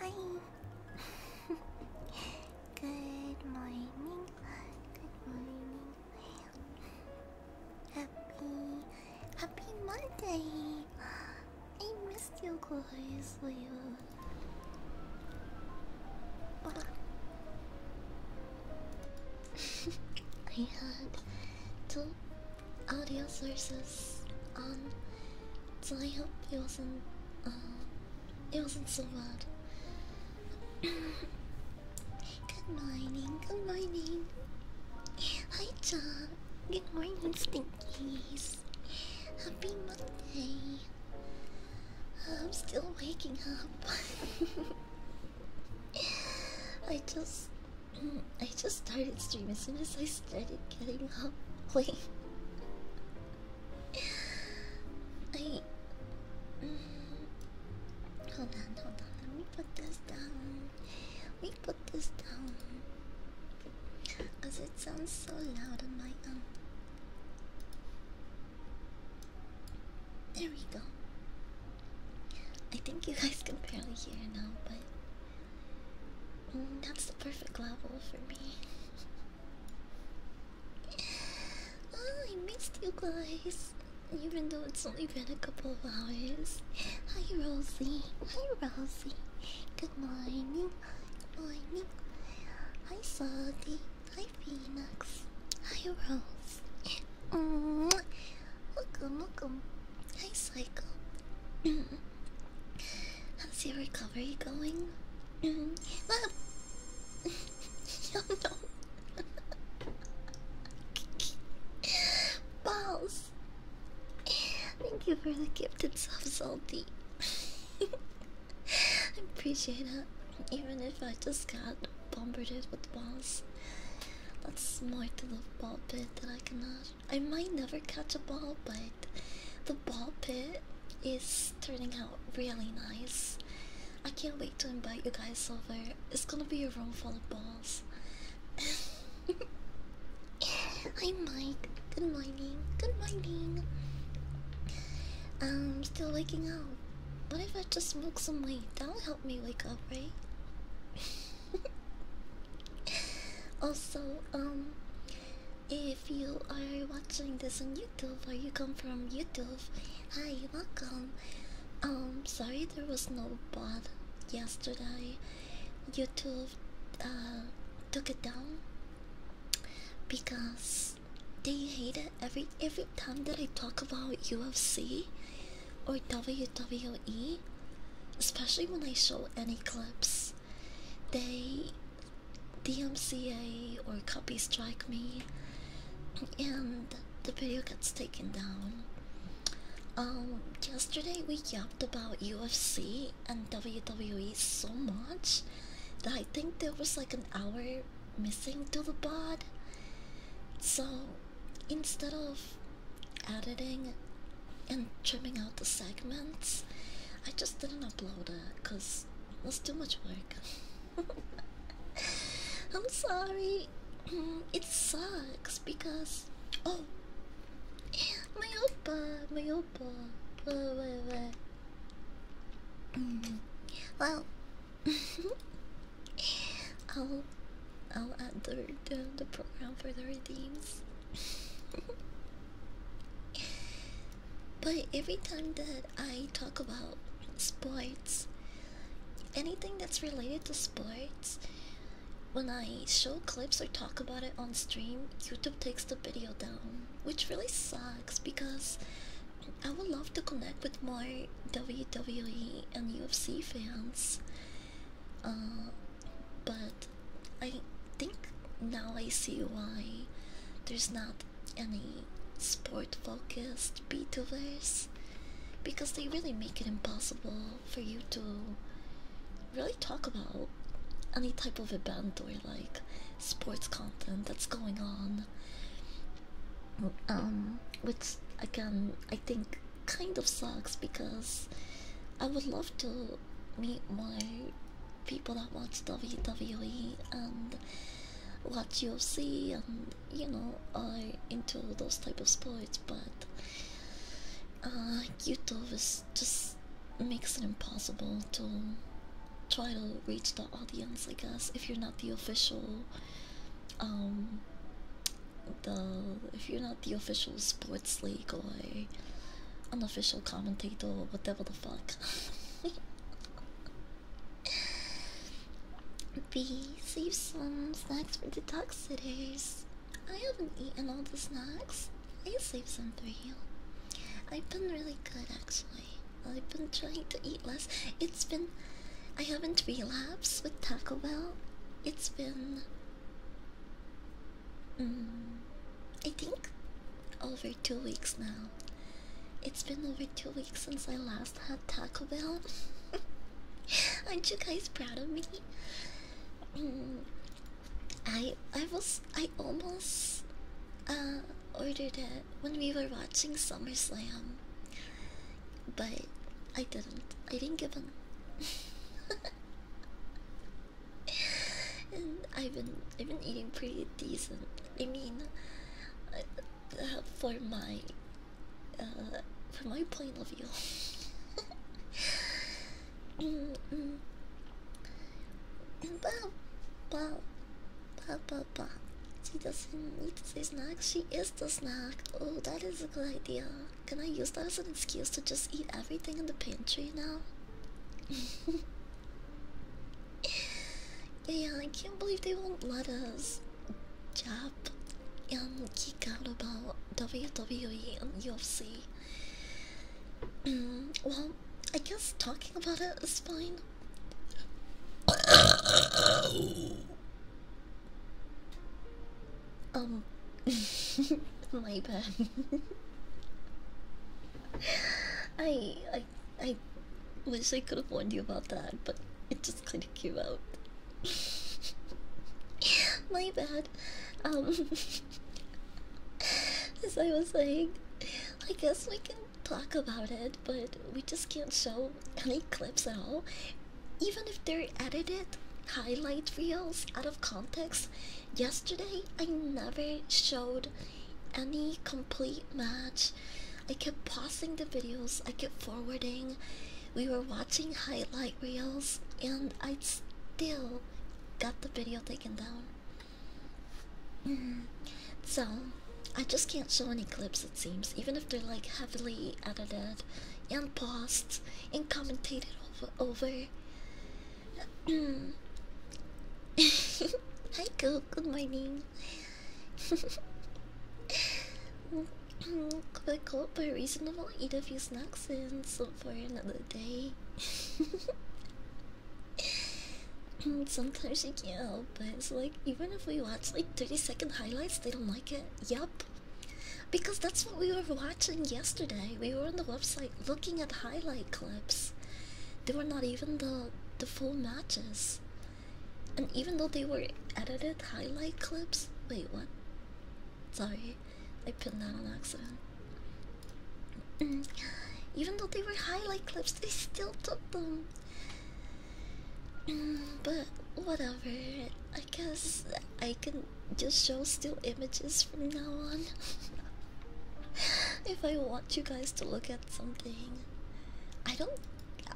Hi. Good morning. Good morning. Happy, happy Monday. I missed you guys. I had two audio sources on, um, so I hope it wasn't uh, it wasn't so bad. good morning, good morning. Hi, John. Good morning, Stinkies. Happy Monday. I'm still waking up. I just I just started streaming as soon as I started getting up. Wait. I. Hold on, hold on. Let me put this down. Let put this down. Because it sounds so loud on my own. Um, there we go. I think you guys can barely hear now, but Mm, that's the perfect level for me. Oh, I missed you guys. Even though it's only been a couple of hours. Hi, Rosie. Hi, Rosie. Good morning. Good morning. Hi, Sadie. Hi, Phoenix. Hi, Rose. -hmm. Welcome, um, welcome. Um, hi, Psycho. How's your recovery going? Mom! oh, no. Balls! Thank you for the gifted sub, Salty. I appreciate it, even if I just got bombarded with balls. That's more to the ball pit that I cannot I might never catch a ball, but the ball pit is turning out really nice. I can't wait to invite you guys over. It's gonna be a room full of balls. Hi Mike, good morning, good morning. I'm um, still waking up. What if I just smoke some weed? That'll help me wake up, right? also, um, if you are watching this on YouTube or you come from YouTube, hi, welcome. Um, sorry there was no bot yesterday. YouTube uh, took it down because they hate it every every time that I talk about UFC or WWE especially when I show any clips, they DMCA or copy strike me, and the video gets taken down. Um, yesterday we yapped about UFC and WWE so much that I think there was like an hour missing to the pod. So instead of editing and trimming out the segments. I just didn't upload it because it was too much work. I'm sorry. It sucks because oh, my oppa, my oppa. Mm-hmm. Well, I'll I'll add the the, the program for the redeems. but every time that I talk about sports, anything that's related to sports, when I show clips or talk about it on stream, YouTube takes the video down, which really sucks because I would love to connect with more WWE and UFC fans. Uh, but I think now I see why there's not any sport focused VTubers because they really make it impossible for you to really talk about any type of event or like sports content that's going on um which again i think kind of sucks because I would love to meet my people that watch WWE and watch UFC and you know I into those type of sports, but uh, YouTube just makes it impossible to try to reach the audience. I guess if you're not the official, um, the if you're not the official sport what's legal or eh? unofficial commentator whatever the fuck. B, save some snacks for detoxitors. I haven't eaten all the snacks. I saved some for you. I've been really good actually. I've been trying to eat less. It's been. I haven't relapsed with Taco Bell. It's been. Mm, I think over two weeks now. It's been over two weeks since I last had Taco Bell. Aren't you guys proud of me? Mm, I I was I almost uh, ordered it when we were watching SummerSlam, but I didn't. I didn't give in. and I've been I've been eating pretty decent. I mean, uh, for my uh, for my point of view. mm -mm. Bah, bah, bah, bah, She doesn't need to say snack. She is the snack. Oh, that is a good idea. Can I use that as an excuse to just eat everything in the pantry now? yeah, I can't believe they won't let us jab um, and geek out about WWE and UFC. well, I guess talking about it is fine. um, my bad. I, I, I wish I could have warned you about that, but it just kind of came out. My bad. Um, as I was saying, I guess we can talk about it, but we just can't show any clips at all. Even if they're edited highlight reels out of context, Yesterday, I never showed any complete match. I kept pausing the videos, I kept forwarding. We were watching highlight reels, and I still got the video taken down. Mm-hmm. So, I just can't show any clips, it seems, even if they're like heavily edited and paused and commentated over. over. Hi, Goop. Good morning. Could I call by reasonable? Eat a few snacks and sleep for another day. Sometimes you can't help it. It's like even if we watch like 30 second highlights, they don't like it. Yup. Because that's what we were watching yesterday. We were on the website looking at highlight clips. They were not even the the full matches. And even though they were edited highlight clips, wait what? Sorry, I put that on accident. Mm. Even though they were highlight clips, they still took them. Mm, but whatever. I guess I can just show still images from now on. if I want you guys to look at something, I don't. Uh,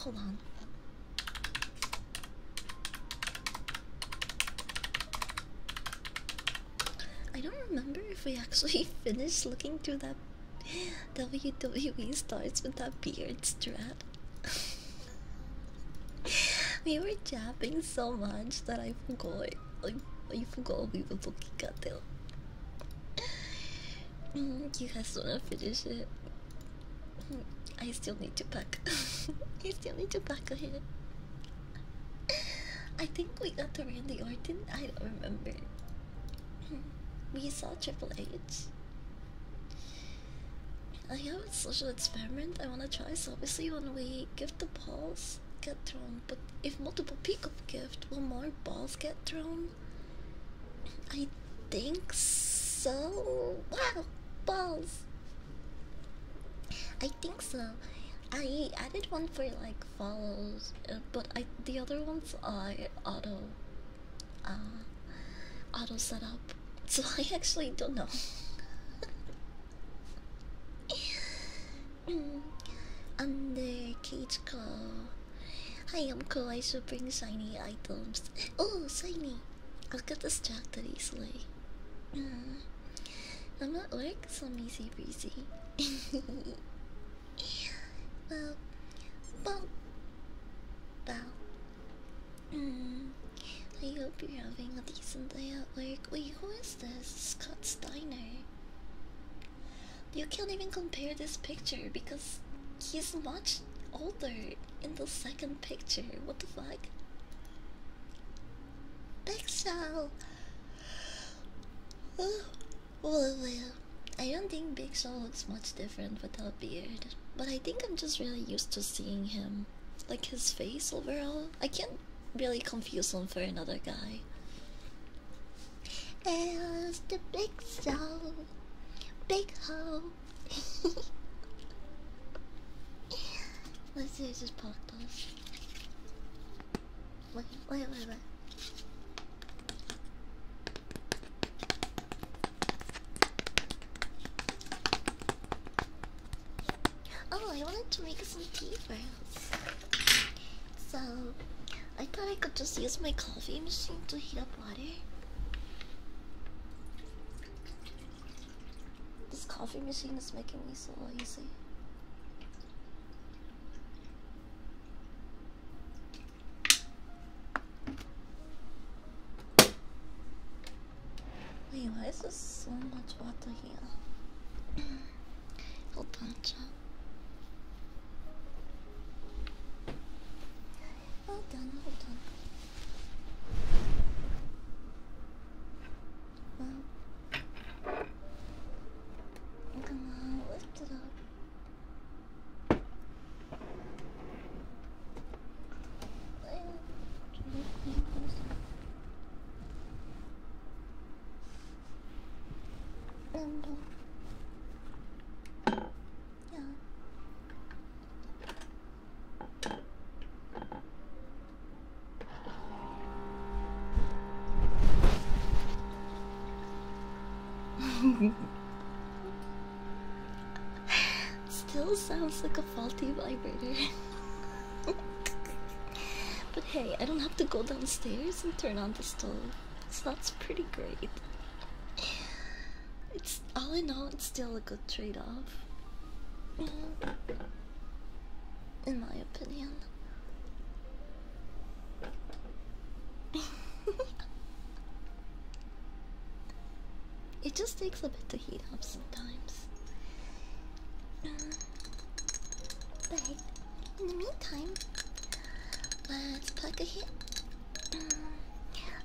hold on. I don't remember if we actually finished looking through that WWE starts with that beard strap. we were jabbing so much that I forgot. I, I forgot we were looking at them. You guys wanna finish it? I still need to pack. I still need to pack ahead. I think we got the Randy Orton. I don't remember. Hmm. We saw Triple H. I have a social experiment I want to try. So obviously, when we give the pulse, get thrown, but if multiple pick pickup gift, will more balls get thrown? I think so. Wow, balls. I think so. I added one for like follows, uh, but I the other ones are auto, uh, auto setup. So I actually don't know. Mm. Under cage call. Hi, I'm cool. I should bring shiny items. Oh, shiny! I'll get distracted easily. Mm. I'm not like so I'm easy breezy. well, well, well. Mm. I hope you're having a decent day at work. Wait, who is this? Scott Steiner. You can't even compare this picture because he's much older in the second picture. What the fuck? Bigshell! Oh, well, well, I don't think Big Show looks much different without beard, but I think I'm just really used to seeing him. Like his face overall. I can't really confuse him for another guy. It's the big soul, big hoe. Let's see this just popped Wait, wait, wait, wait. Oh, I wanted to make some tea first. So, I thought I could just use my coffee machine to heat up water. This coffee machine is making me so lazy. Wait, why is this so much water here. Hold on, chat. Hold on, hold on. Well, come on, lift it up. Still sounds like a faulty vibrator. but hey, I don't have to go downstairs and turn on the stove. So that's pretty great. It's all in all, it's still a good trade-off, in my opinion. it just takes a bit to heat up sometimes. But in the meantime, let's plug a hit. Mm,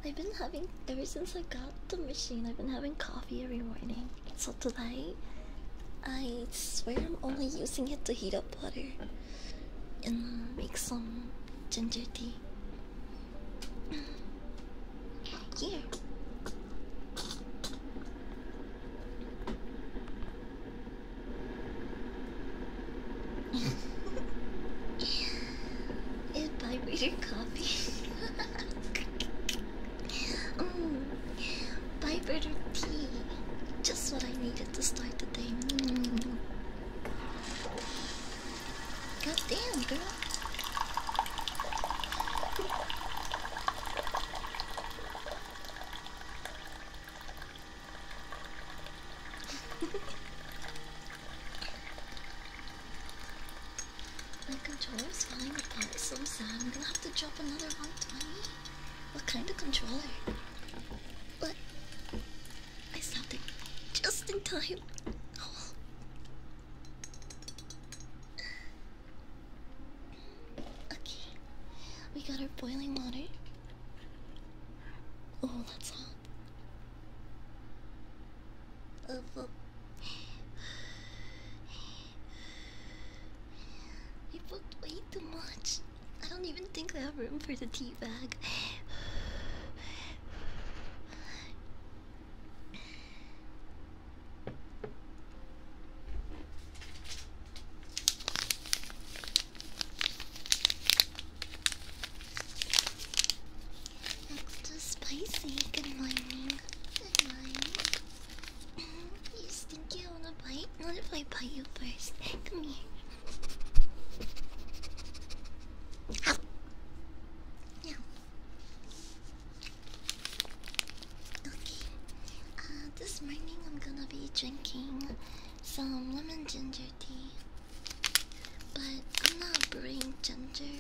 I've been having ever since I got the machine. I've been having coffee every morning. So tonight, I swear I'm only using it to heat up water and make some ginger tea. Here. It's vibrated your coffee. mm. Vibrator tea. Just what I needed to start the day. Mm. girl. My controller is falling apart, so sad. I'm gonna have to drop another 120. What kind of controller? But I stopped it just in time. Oh. Okay, we got our boiling water. Oh, that's hot. Uh, well. I booked way too much. I don't even think I have room for the tea bag. Extra spicy. Good morning. Good morning. you think you wanna bite? Not if I bite you first. Come here. Yeah. Okay. this morning I'm gonna be drinking some lemon ginger tea, but I'm not brewing ginger.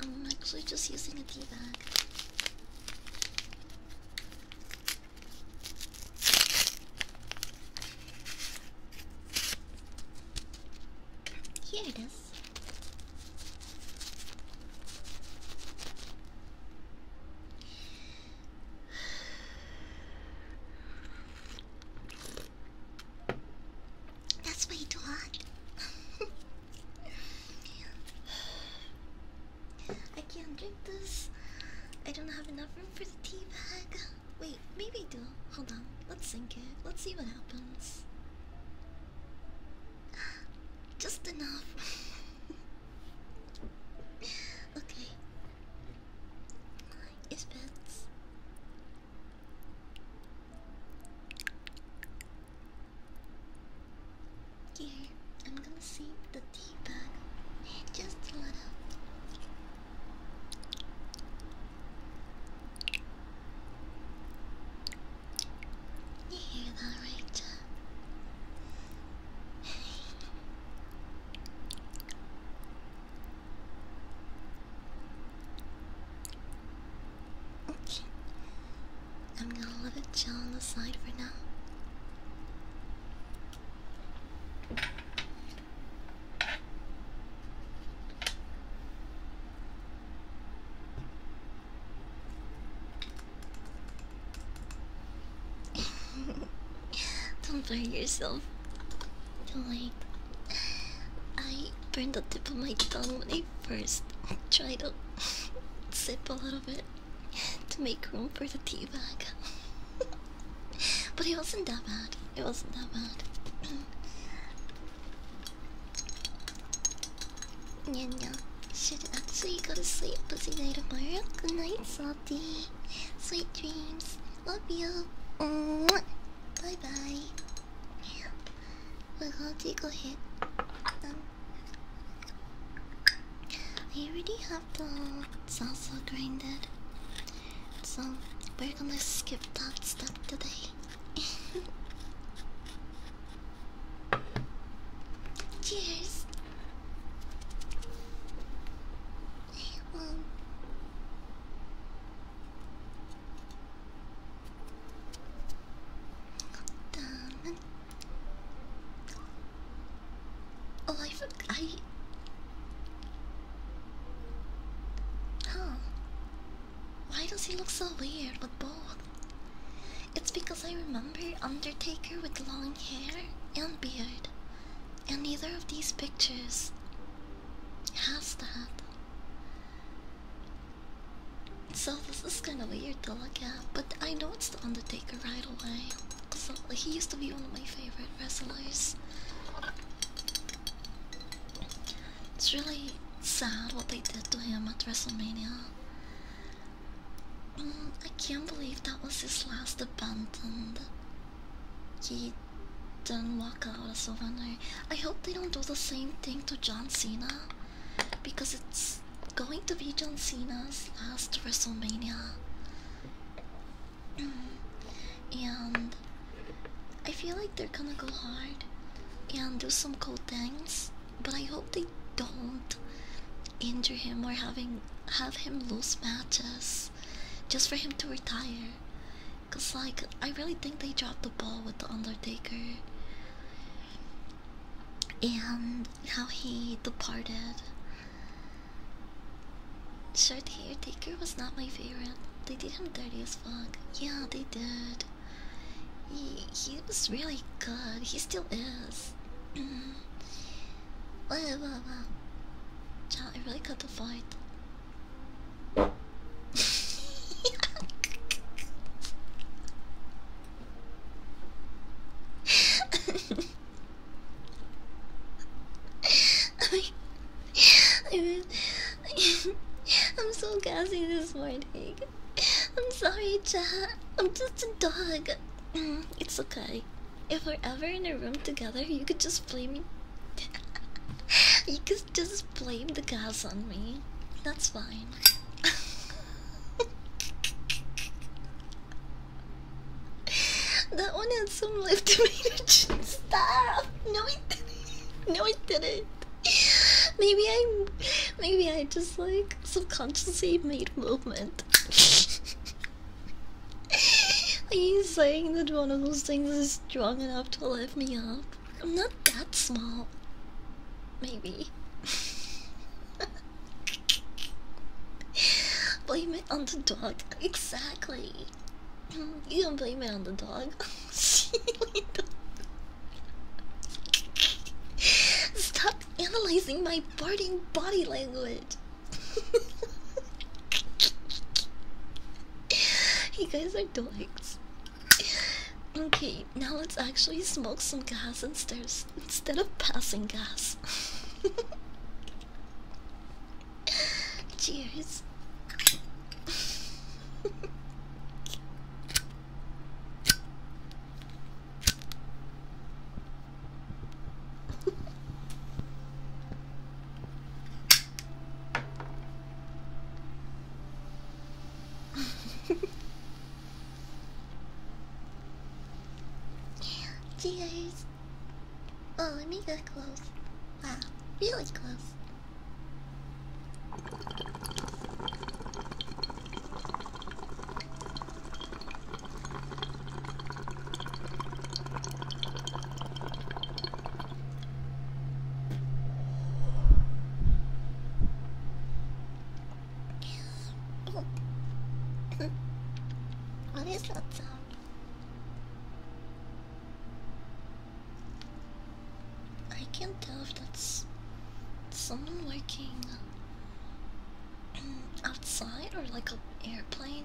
I'm actually just using a tea bag. Here it is. That's my dog. I can't drink this. I don't have enough room for the tea bag. Wait, maybe do. Hold on. Let's sink it. Let's see what happens. Just enough. okay. It's pants. Here, I'm gonna save the tea bag just a little. You hear Okay. I'm gonna let it chill on the side for now. Don't burn yourself. don't like I burned the tip of my tongue when I first tried to sip a little bit to make room for the tea bag. but it wasn't that bad. It wasn't that bad. Yeah, yeah. Should I actually go to sleep, busy a tomorrow. Good night, son. Sweet dreams. Love you. Bye bye. We're gonna take already have the salsa grinded, so we're gonna skip that step today. Cheers! Oh, I forgot. I. Why does he look so weird with both? It's because because I remember Undertaker with long hair and beard, and neither of these pictures has that. So this is kind of weird to look at, but I know it's the Undertaker right away. Cause he used to be one of my favorite wrestlers. It's really sad what they did to him at WrestleMania. Mm, I can't believe that was his last abandoned. He didn't walk out as a winner. I hope they don't do the same thing to John Cena because it's going to be John Cena's last WrestleMania. Mm, and I feel like they're gonna go hard and do some cool things, but I hope they don't injure him or having have him lose matches just for him to retire. Cause like I really think they dropped the ball with the Undertaker and how he departed. Sure, the Undertaker was not my favorite. They did him dirty as fuck. Yeah, they did. He, he was really good. He still is. Wow, wow, wow. I really cut the fight. I'm so gassy this morning. I'm sorry, chat. I'm just a dog. Mm, it's okay. If we're ever in a room together, you could just blame me. you could just blame the gas on me. That's fine. that one had some live tomato juice. Stop! No, it didn't. No, it didn't. Maybe I, maybe I just like subconsciously made movement. Are you saying that one of those things is strong enough to lift me up? I'm not that small. Maybe. blame it on the dog. Exactly. You can blame it on the dog. Stop analyzing my farting body language. you guys are dogs. Okay, now let's actually smoke some gas instead instead of passing gas. Cheers. Cheers! Oh, let me get close. Wow, really close what is that I can't tell if that's someone working um, outside or like an airplane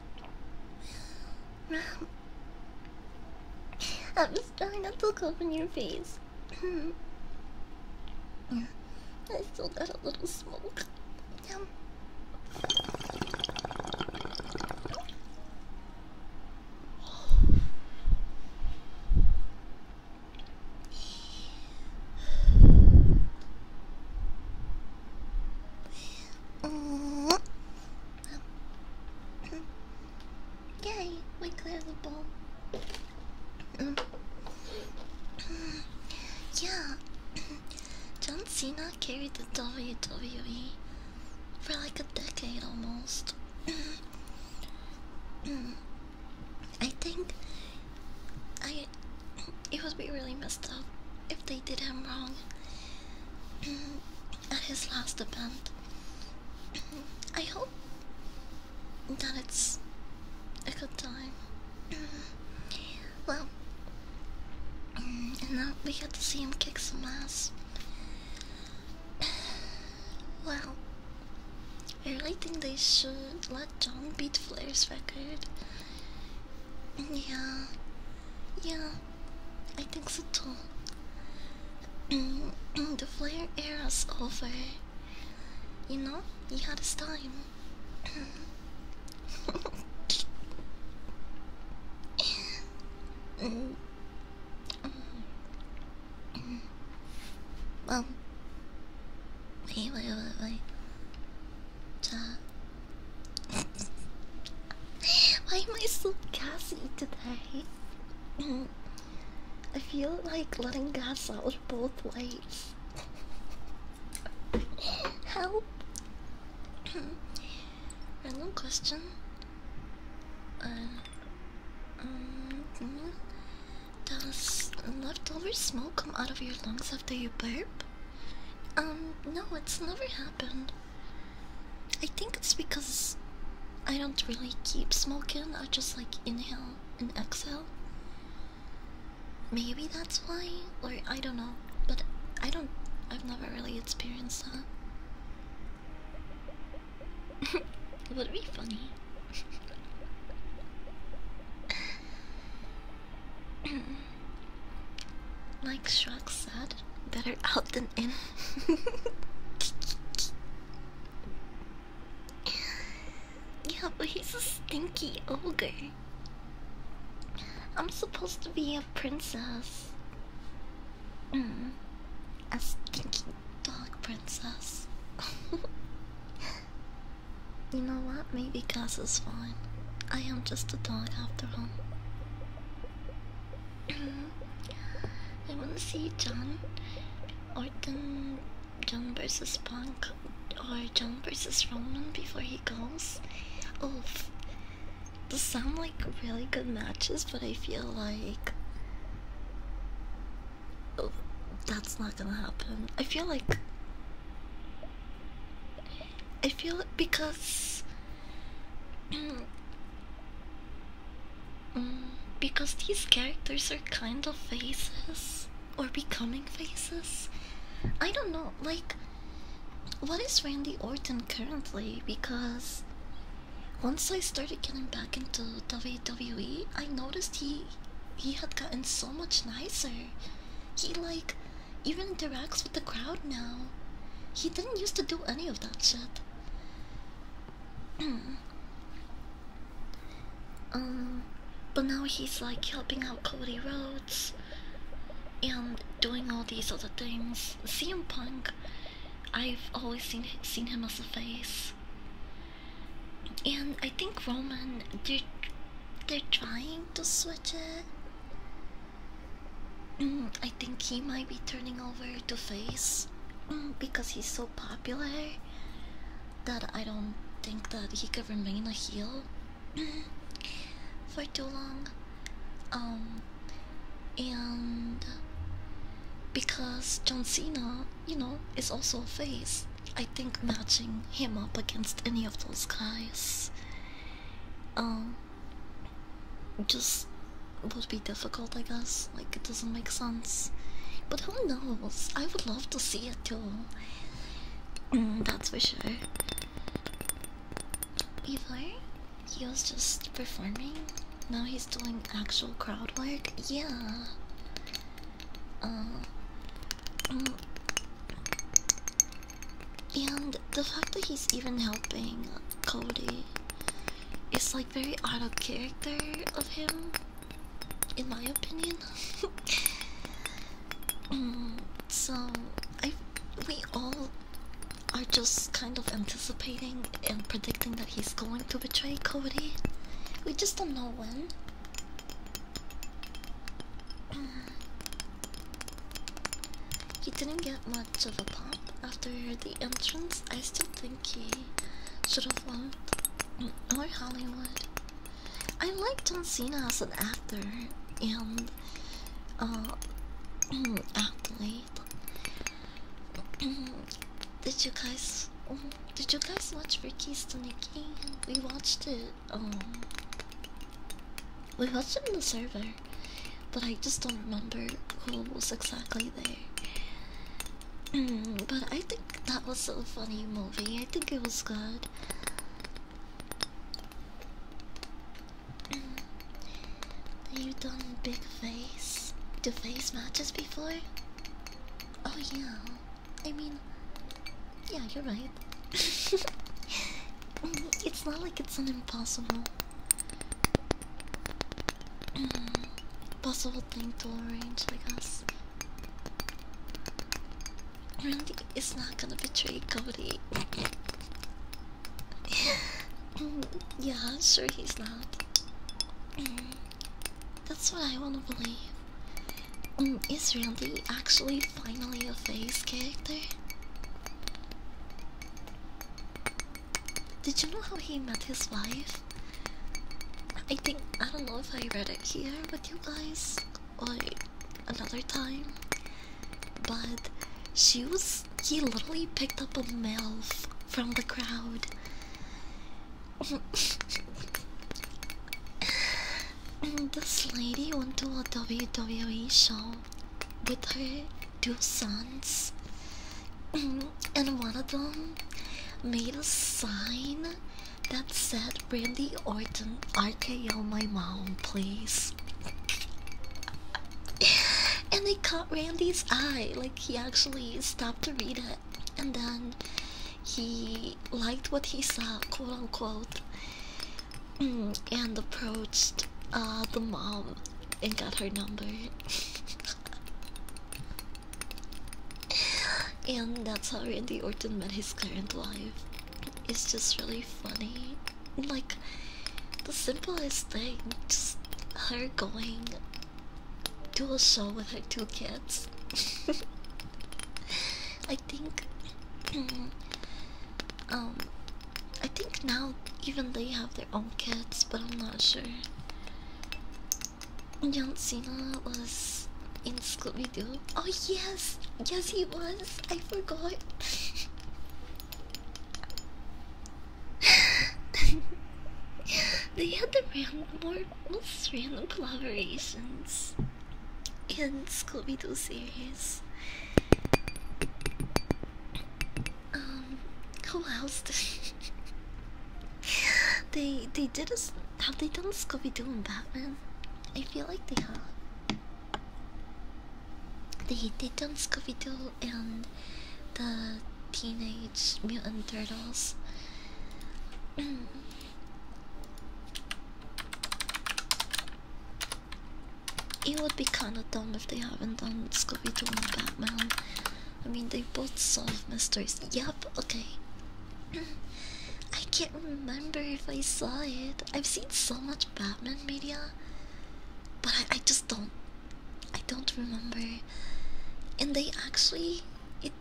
I'm just trying not to look up in your face. I still got a little smoke. Mm we cleared the ball. yeah, John Cena carried the WWE for like a decade almost. I think I it would be really messed up if they did him wrong at his last event. I hope that it's a good time. well, and now we get to see him kick some ass. well, I really think they should let John beat Flair's record. Yeah, yeah, I think so too. Mm, the flare era's over. You know, you had a time. Mm, mm, well, wait, wait, wait, wait. Ja. Why am I so gassy today? I feel like letting gas out both ways. Help! Random question. Uh, um, does leftover smoke come out of your lungs after you burp? Um, no, it's never happened. I think it's because I don't really keep smoking, I just like inhale and exhale. Maybe that's why, or I don't know, but I don't, I've never really experienced that. it would be funny. like Shrek said, better out than in. yeah, but he's a stinky ogre. I'm supposed to be a princess. Hmm. A stinky dog princess. you know what? Maybe Gus is fine. I am just a dog after all. Mm-hmm. I want to see John Orton, John versus Punk, or John versus Roman before he goes. Oof. Oh, those sound like really good matches, but I feel like oh, that's not gonna happen. I feel like I feel because Um, because these characters are kind of faces or becoming faces. I don't know, like, what is Randy Orton currently? Because once I started getting back into WWE, I noticed he he had gotten so much nicer. He like even interacts with the crowd now. He didn't used to do any of that shit. um, but now he's like helping out Cody Rhodes and doing all these other things. CM Punk, I've always seen seen him as a face, and I think Roman they're they're trying to switch it. Mm, I think he might be turning over to face mm, because he's so popular that I don't think that he could remain a heel mm, for too long. Um, and because John Cena, you know, is also a face, I think matching him up against any of those guys um, just would be difficult, I guess. Like, it doesn't make sense. But who knows? I would love to see it too. Mm, that's for sure. Before, he was just performing. Now he's doing actual crowd work. Yeah. Uh, mm. And the fact that he's even helping Cody it's like very out of character of him, in my opinion. Mm, so I, we all are just kind of anticipating and predicting that he's going to betray Cody. We just don't know when. Mm. He didn't get much of a pop after the entrance. I still think he should have won. Or Hollywood. I like John Cena as an actor and uh, athlete. did you guys? Did you guys watch Ricky's Nikki? We watched it. Um, we watched it in the server but I just don't remember who was exactly there. but I think that was a funny movie. I think it was good. you done big face do face matches before? Oh yeah. I mean yeah, you're right. it's not like it's an impossible Mm, possible thing to arrange, I guess. Randy is not gonna betray Cody. yeah, sure he's not. Mm, that's what I wanna believe. Mm, is Randy actually finally a face character? Did you know how he met his wife? I think I don't know if I read it here with you guys or another time, but she was he literally picked up a MILF from the crowd. and this lady went to a WWE show with her two sons, and one of them made a sign that said, Randy Orton, RKO my mom, please. and it caught Randy's eye, like he actually stopped to read it, and then he liked what he saw, quote unquote, and approached uh, the mom and got her number. and that's how Randy Orton met his current wife. It's just really funny. Like, the simplest thing, just her going to a show with her two kids. I think. um, I think now even they have their own kids, but I'm not sure. John Cena was in Scooby Doo. Oh, yes, yes, he was. I forgot. they had the random, more most random collaborations in Scooby Doo series. Um, who else? they they did a have they done Scooby Doo and Batman? I feel like they have. They they done Scooby Doo and the Teenage Mutant Turtles. It would be kind of dumb if they haven't done Scooby Doo and Batman. I mean, they both solve mysteries. Yep, okay. I can't remember if I saw it. I've seen so much Batman media, but I, I just don't. I don't remember. And they actually. It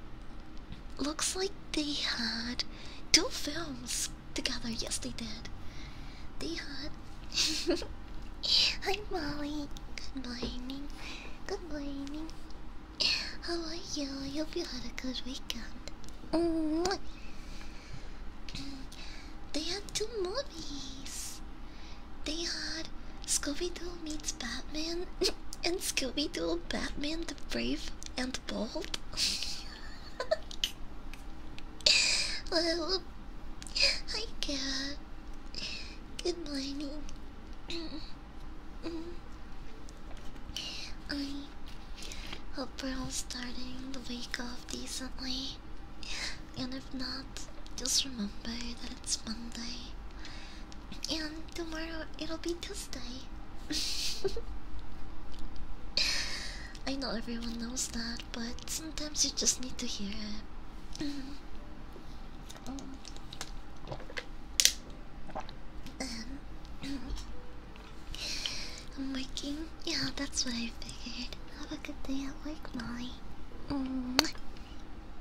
looks like they had two films together. Yes, they did. They had. Hi Molly. Good morning. Good morning. How are you? I hope you had a good weekend. Mm They had two movies. They had Scooby Doo meets Batman and Scooby Doo Batman the Brave and Bold. well, I get Good morning. I hope we're all starting the week off decently. And if not, just remember that it's Monday. And tomorrow it'll be Tuesday. I know everyone knows that, but sometimes you just need to hear it. Um, I'm working. Yeah, that's what I figured. Have a good day at work, Molly. Mm.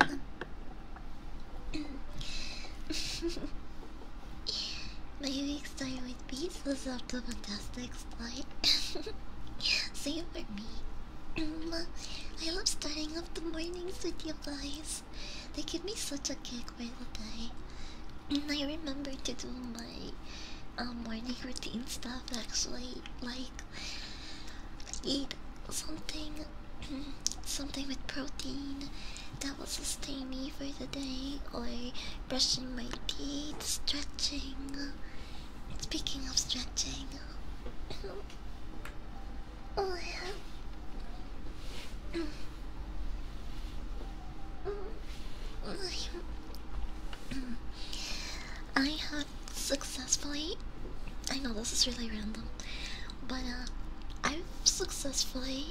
My week started with beats was up to fantastic flight. Same for me. I love starting off the mornings with you guys. They give me such a kick by the And I remember to do my um, morning routine stuff actually, like eat something, something with protein that will sustain me for the day, or brushing my teeth, stretching. Speaking of stretching. I have successfully. I know this is really random, but uh, I've successfully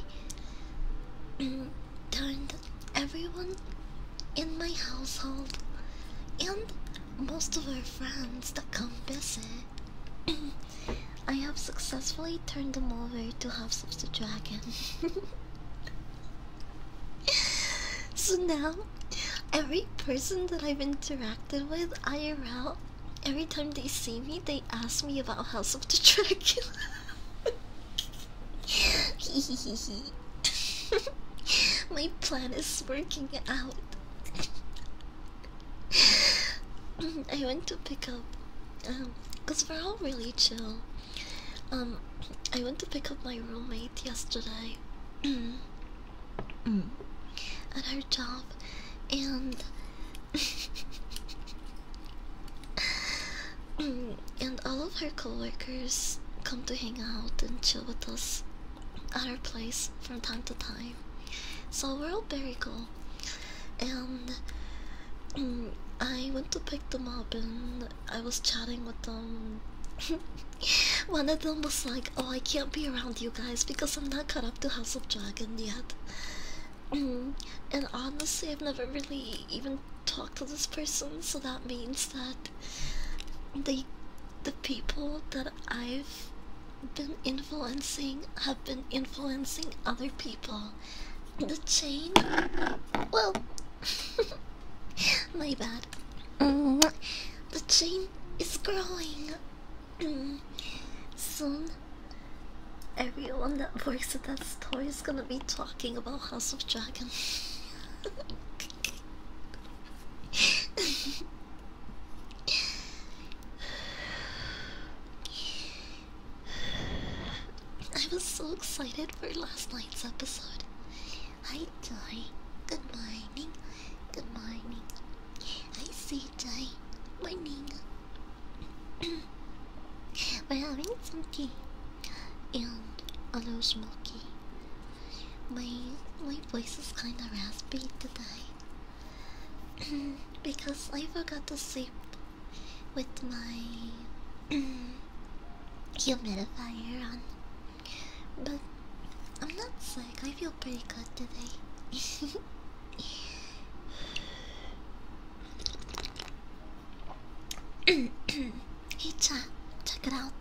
mm, turned everyone in my household and most of our friends that come visit, I have successfully turned them over to House of the Dragon. so now, every person that I've interacted with IRL, every time they see me, they ask me about House of the Dragon. My plan is working out. I went to pick up, um, cause we're all really chill. Um, I went to pick up my roommate yesterday mm. at her job, and and all of her coworkers come to hang out and chill with us other place from time to time. So we're all very cool. And I went to pick them up and I was chatting with them. One of them was like, Oh, I can't be around you guys because I'm not caught up to House of Dragon yet. and honestly, I've never really even talked to this person, so that means that they the people that I've been influencing have been influencing other people. The chain, well, my bad. Mm, the chain is growing. Soon, everyone that works at that store is gonna be talking about House of Dragons. I was so excited for last night's episode. I die Good morning. Good morning. I say die, Morning. We're having some tea and a little smoky. My my voice is kind of raspy today. because I forgot to sleep with my humidifier on. But I'm not sick, I feel pretty good today. hey chat, check it out.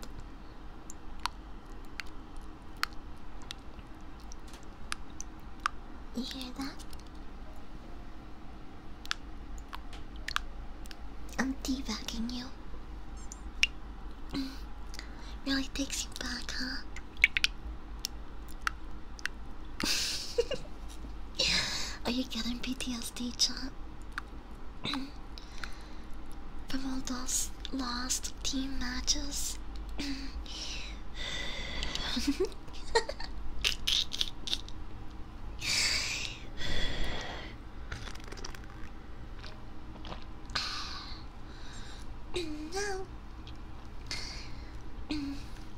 You hear that? I'm teabagging you. really takes you back, huh? Are you getting PTSD, chat? From all those lost team matches. now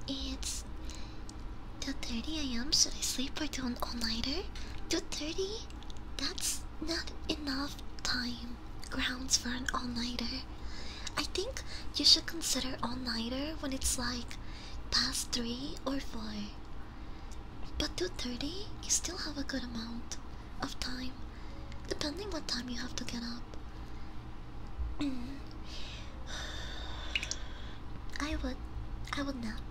it's two thirty a.m. Should I sleep or do an all-nighter? Two thirty? That's not enough time grounds for an all-nighter. I think you should consider all-nighter when it's like past three or four. But to thirty, you still have a good amount of time, depending what time you have to get up. Mm. I would, I would not.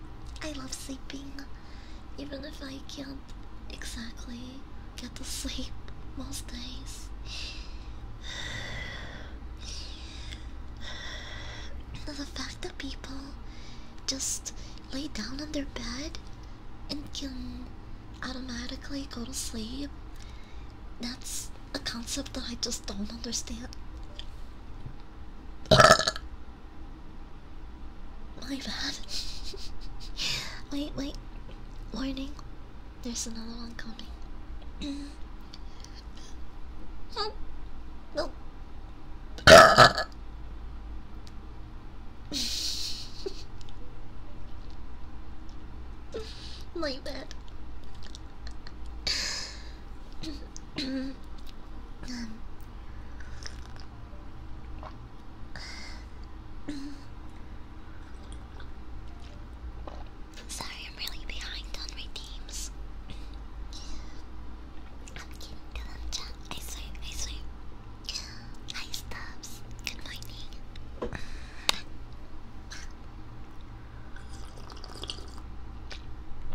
I love sleeping, even if I can't exactly get to sleep most days. the fact that people just lay down on their bed and can automatically go to sleep, that's a concept that I just don't understand. My bad. wait, wait. Warning. There's another one coming. oh. No. My bad. Um. Sorry, I'm really behind on my games. I'm getting to them, chat. I swear, I swear. Hi, Stubbs. Good morning.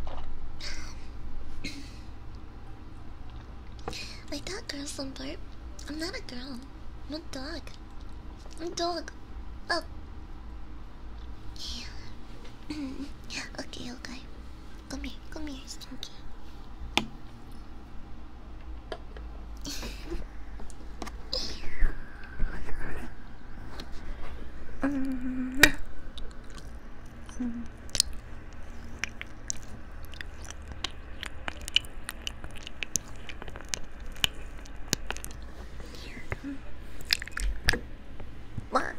Um, my dog girls some burp. I'm not a girl. I'm a dog. Dog. Oh. okay, okay. Come here, come here, Stinky. What?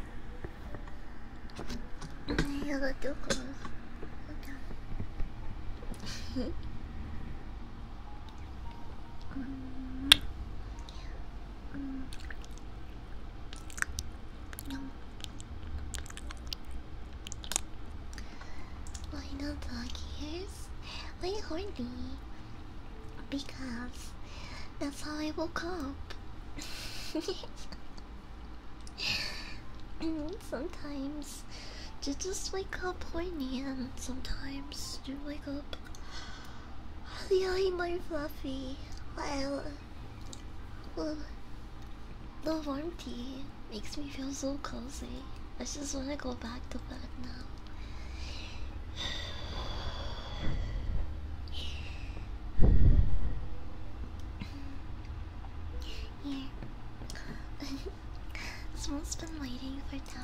I got too close. Okay. um, Why not dog ears? way horny because that's how I woke up. sometimes you just wake up horny, and sometimes you wake up really more fluffy while well, the warmth makes me feel so cozy. I just want to go back to bed now. Here. someone been waiting for that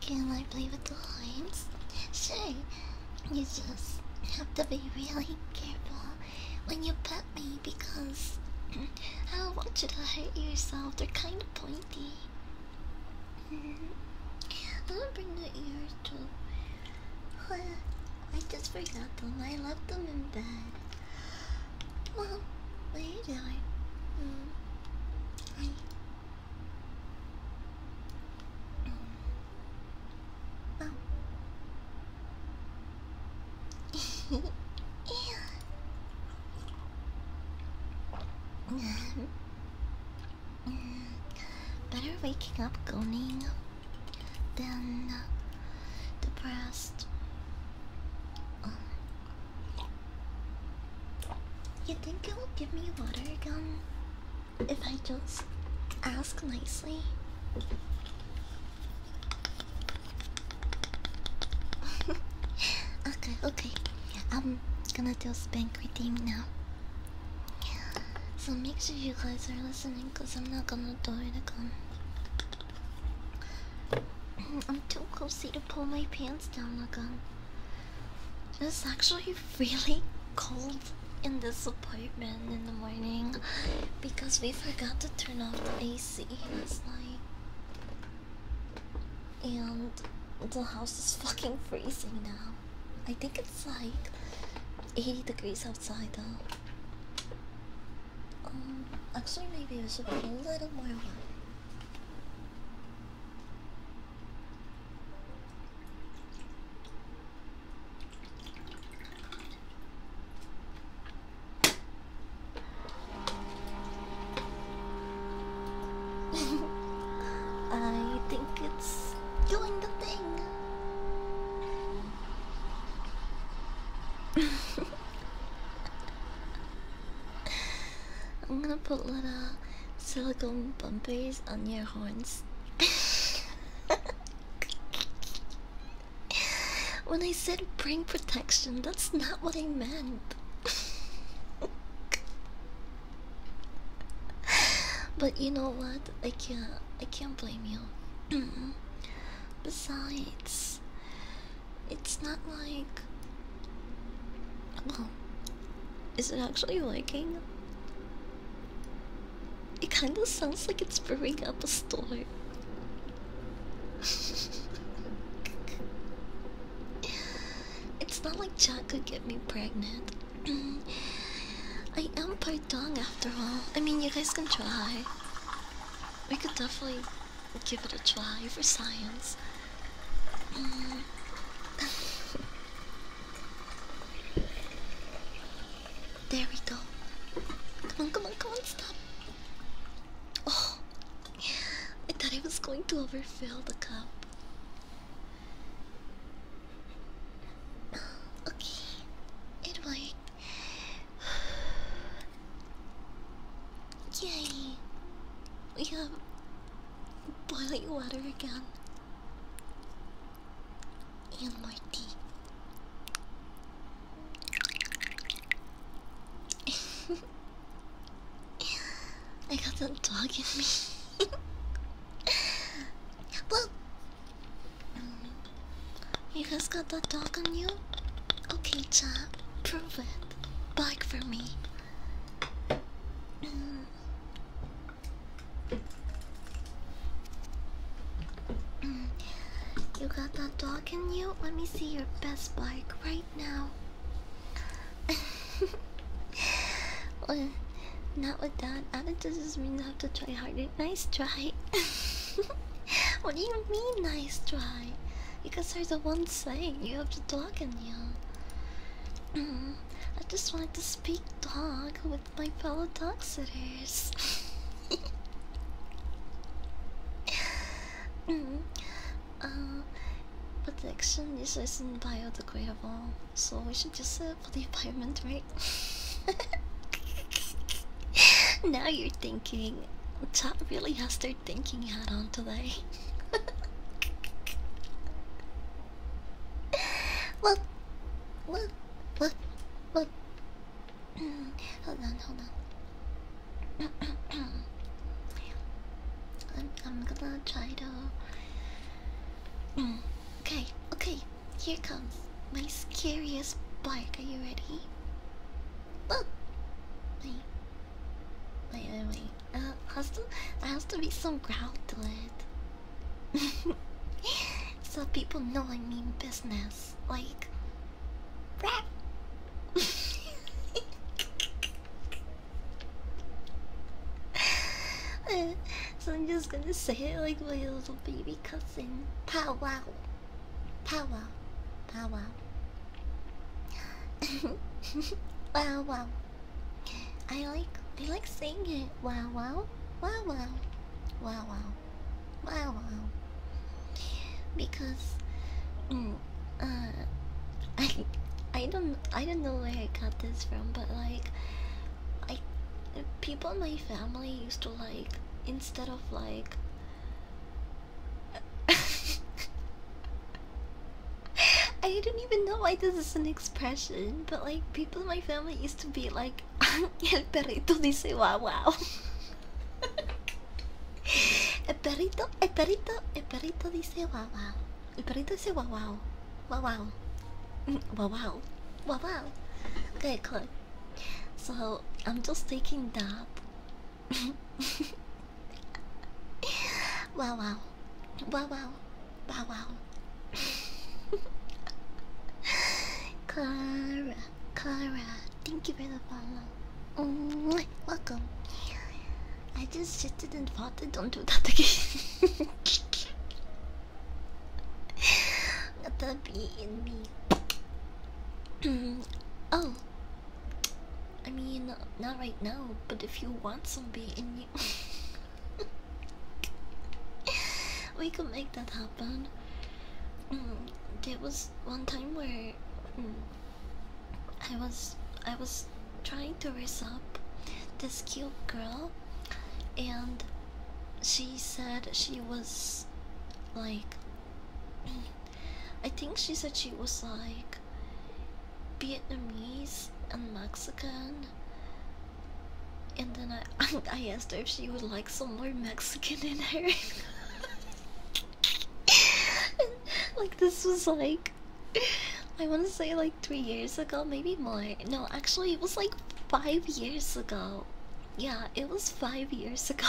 Can I play with the lines? Sure. You just have to be really careful when you pet me because I don't want you to hurt yourself. They're kind of pointy. I'm mm-hmm. bring the ears I just forgot them. I left them in bed. Mom, what are you doing? Better waking up groaning than uh, depressed. You think it will give me water again if I just ask nicely? okay, okay. I'm gonna do spank redeem now. So make sure you guys are listening because I'm not gonna do it again. I'm too cozy to pull my pants down again. It's actually really cold in this apartment in the morning because we forgot to turn off the AC last night and the house is fucking freezing now. I think it's like 80 degrees outside though. Um, actually, maybe we should put a little more I think it's doing the thing. I'm gonna put little silicone bumpers on your horns. when I said brain protection, that's not what I meant but you know what? I can't. I can't blame you. Besides, it's not like. Well, is it actually working? It kind of sounds like it's brewing up a storm. It's not like Jack could get me pregnant. I am part dong after all. I mean, you guys can try. We could definitely give it a try for science. there we go. Come on, come on, come on, stop. Oh, I thought I was going to overfill the cup. Okay, it Yay! We have boiling water again. And my tea. I got that dog in me. well, you guys got that dog on you? Okay, chat, prove it. Bark for me. Mm. Mm. You got that dog in you? Let me see your best bike right no. well, not with that. That just means I have to try harder. Nice try. what do you mean, nice try? Because guys are the ones saying you have to talk in you. Mm-hmm. I just wanted to speak dog with my fellow dog sitters. Mm-hmm. Uh, but the action is isn't biodegradable, so we should just say uh, for the environment, right? now you're thinking. Chat really has their thinking hat on today. what? What? What? What? hold on, hold on. I'm, gonna try to. okay, okay, here comes my scariest part. Are you ready? Oh! Wait, wait, wait. Uh, has to, there has to be some growl to it. so people know I mean business. Like. so I'm just gonna say it like my little baby cousin. Pow wow. Pow wow. Pow wow. wow wow. I like I like saying it. Wow wow. Wow wow. Wow wow. Wow wow. Because mm, uh, I I don't I don't know where I got this from, but like I people in my family used to like instead of like I don't even know why this is an expression, but like people in my family used to be like el perrito dice wow wow El perrito, el perrito, el perrito dice guau guau. El perrito dice guau guau. Guau guau. Wow wow. Wow wow. Okay, cool. So I'm just taking dab. wow wow. Wow wow. Wow wow. Clara, Clara, thank you for the follow. Mm Welcome. I just shifted and thought I don't do that again. Let that be in me. oh. I mean, not right now, but if you want some bee in you. we could make that happen. Mm, there was one time where. Mm, I was I was trying to raise up this cute girl and she said she was like I think she said she was like Vietnamese and Mexican and then I I asked her if she would like some more Mexican in her like this was like I want to say like three years ago, maybe more. No, actually, it was like five years ago. Yeah, it was five years ago.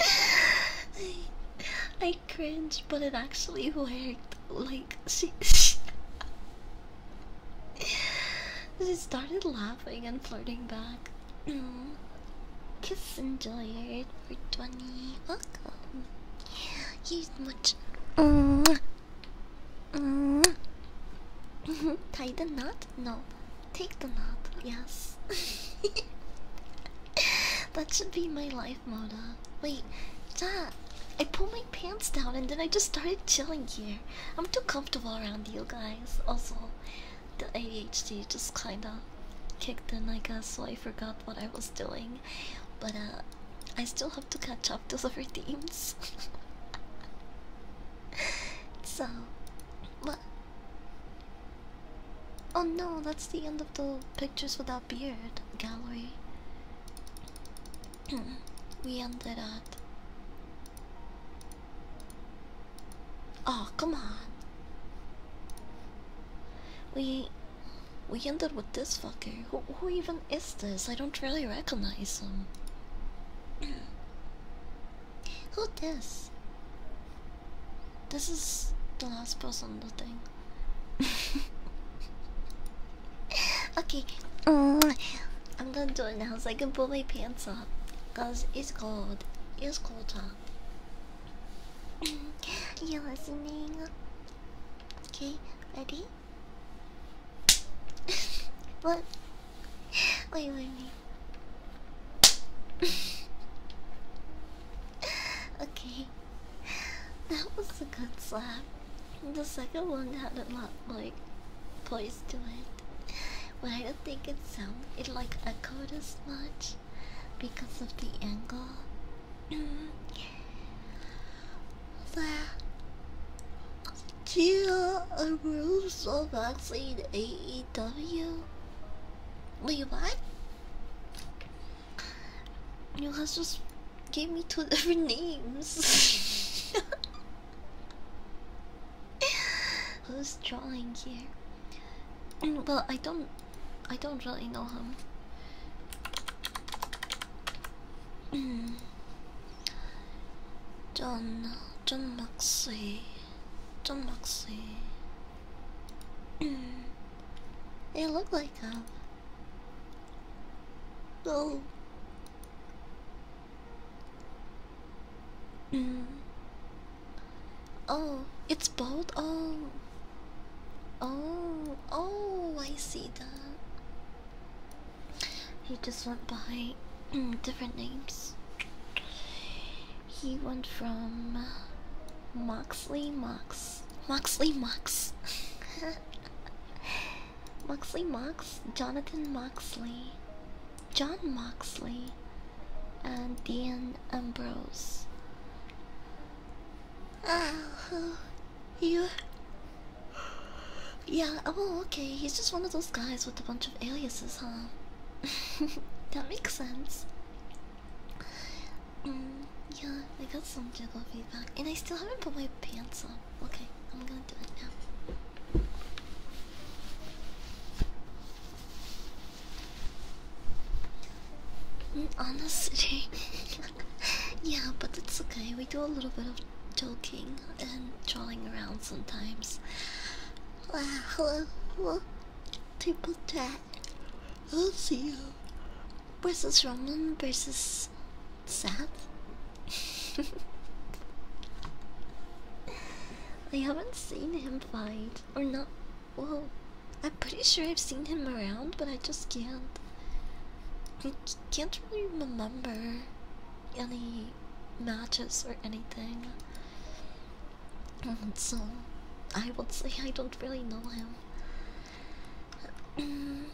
I, I cringe, but it actually worked. Like she, she, started laughing and flirting back. Mm. Kiss enjoyed for twenty. Use much. Mm. Mm. Tie the knot? No. Take the knot. Yes. that should be my life mode. Wait, that. I pulled my pants down and then I just started chilling here. I'm too comfortable around you guys. Also, the ADHD just kinda kicked in, I guess, so I forgot what I was doing. But uh, I still have to catch up to the redeems. so, what? oh no, that's the end of the pictures without beard gallery. we ended at. Oh, come on. We we ended with this fucker. Who, even is this? I don't really recognize him. Who this? This is the last person on the thing. okay, mm. I'm gonna do it now so I can pull my pants up. Cause it's cold. It's cold out. you listening. Okay, ready? what? Wait, wait, wait. okay, that was a good slap. The second one had a lot like poise to it, but I don't think it sound it like echoed as much because of the angle. Gia approves of vaccine AEW. Wait, what? You guys just gave me two different names. Who's drawing here? Mm, well, I don't I don't really know him. John, John Maxey, John Maxey. they look like him. No. oh, it's bold. Oh. Oh, oh, I see that. He just went by different names. He went from Moxley Mox. Moxley Mox. Moxley Mox, Jonathan Moxley, John Moxley, and Dean Ambrose. Oh, you. Yeah, oh, okay, he's just one of those guys with a bunch of aliases, huh? that makes sense. Mm, yeah, I got some jiggle feedback, and I still haven't put my pants on. Okay, I'm gonna do it now. Honestly, yeah, but it's okay. We do a little bit of joking and trolling around sometimes. Triple chat. I'll see you. Versus Roman versus Sad. I haven't seen him fight, or not well, I'm pretty sure I've seen him around, but I just can't. can't really remember any matches or anything. Um, so, I would say I don't really know him.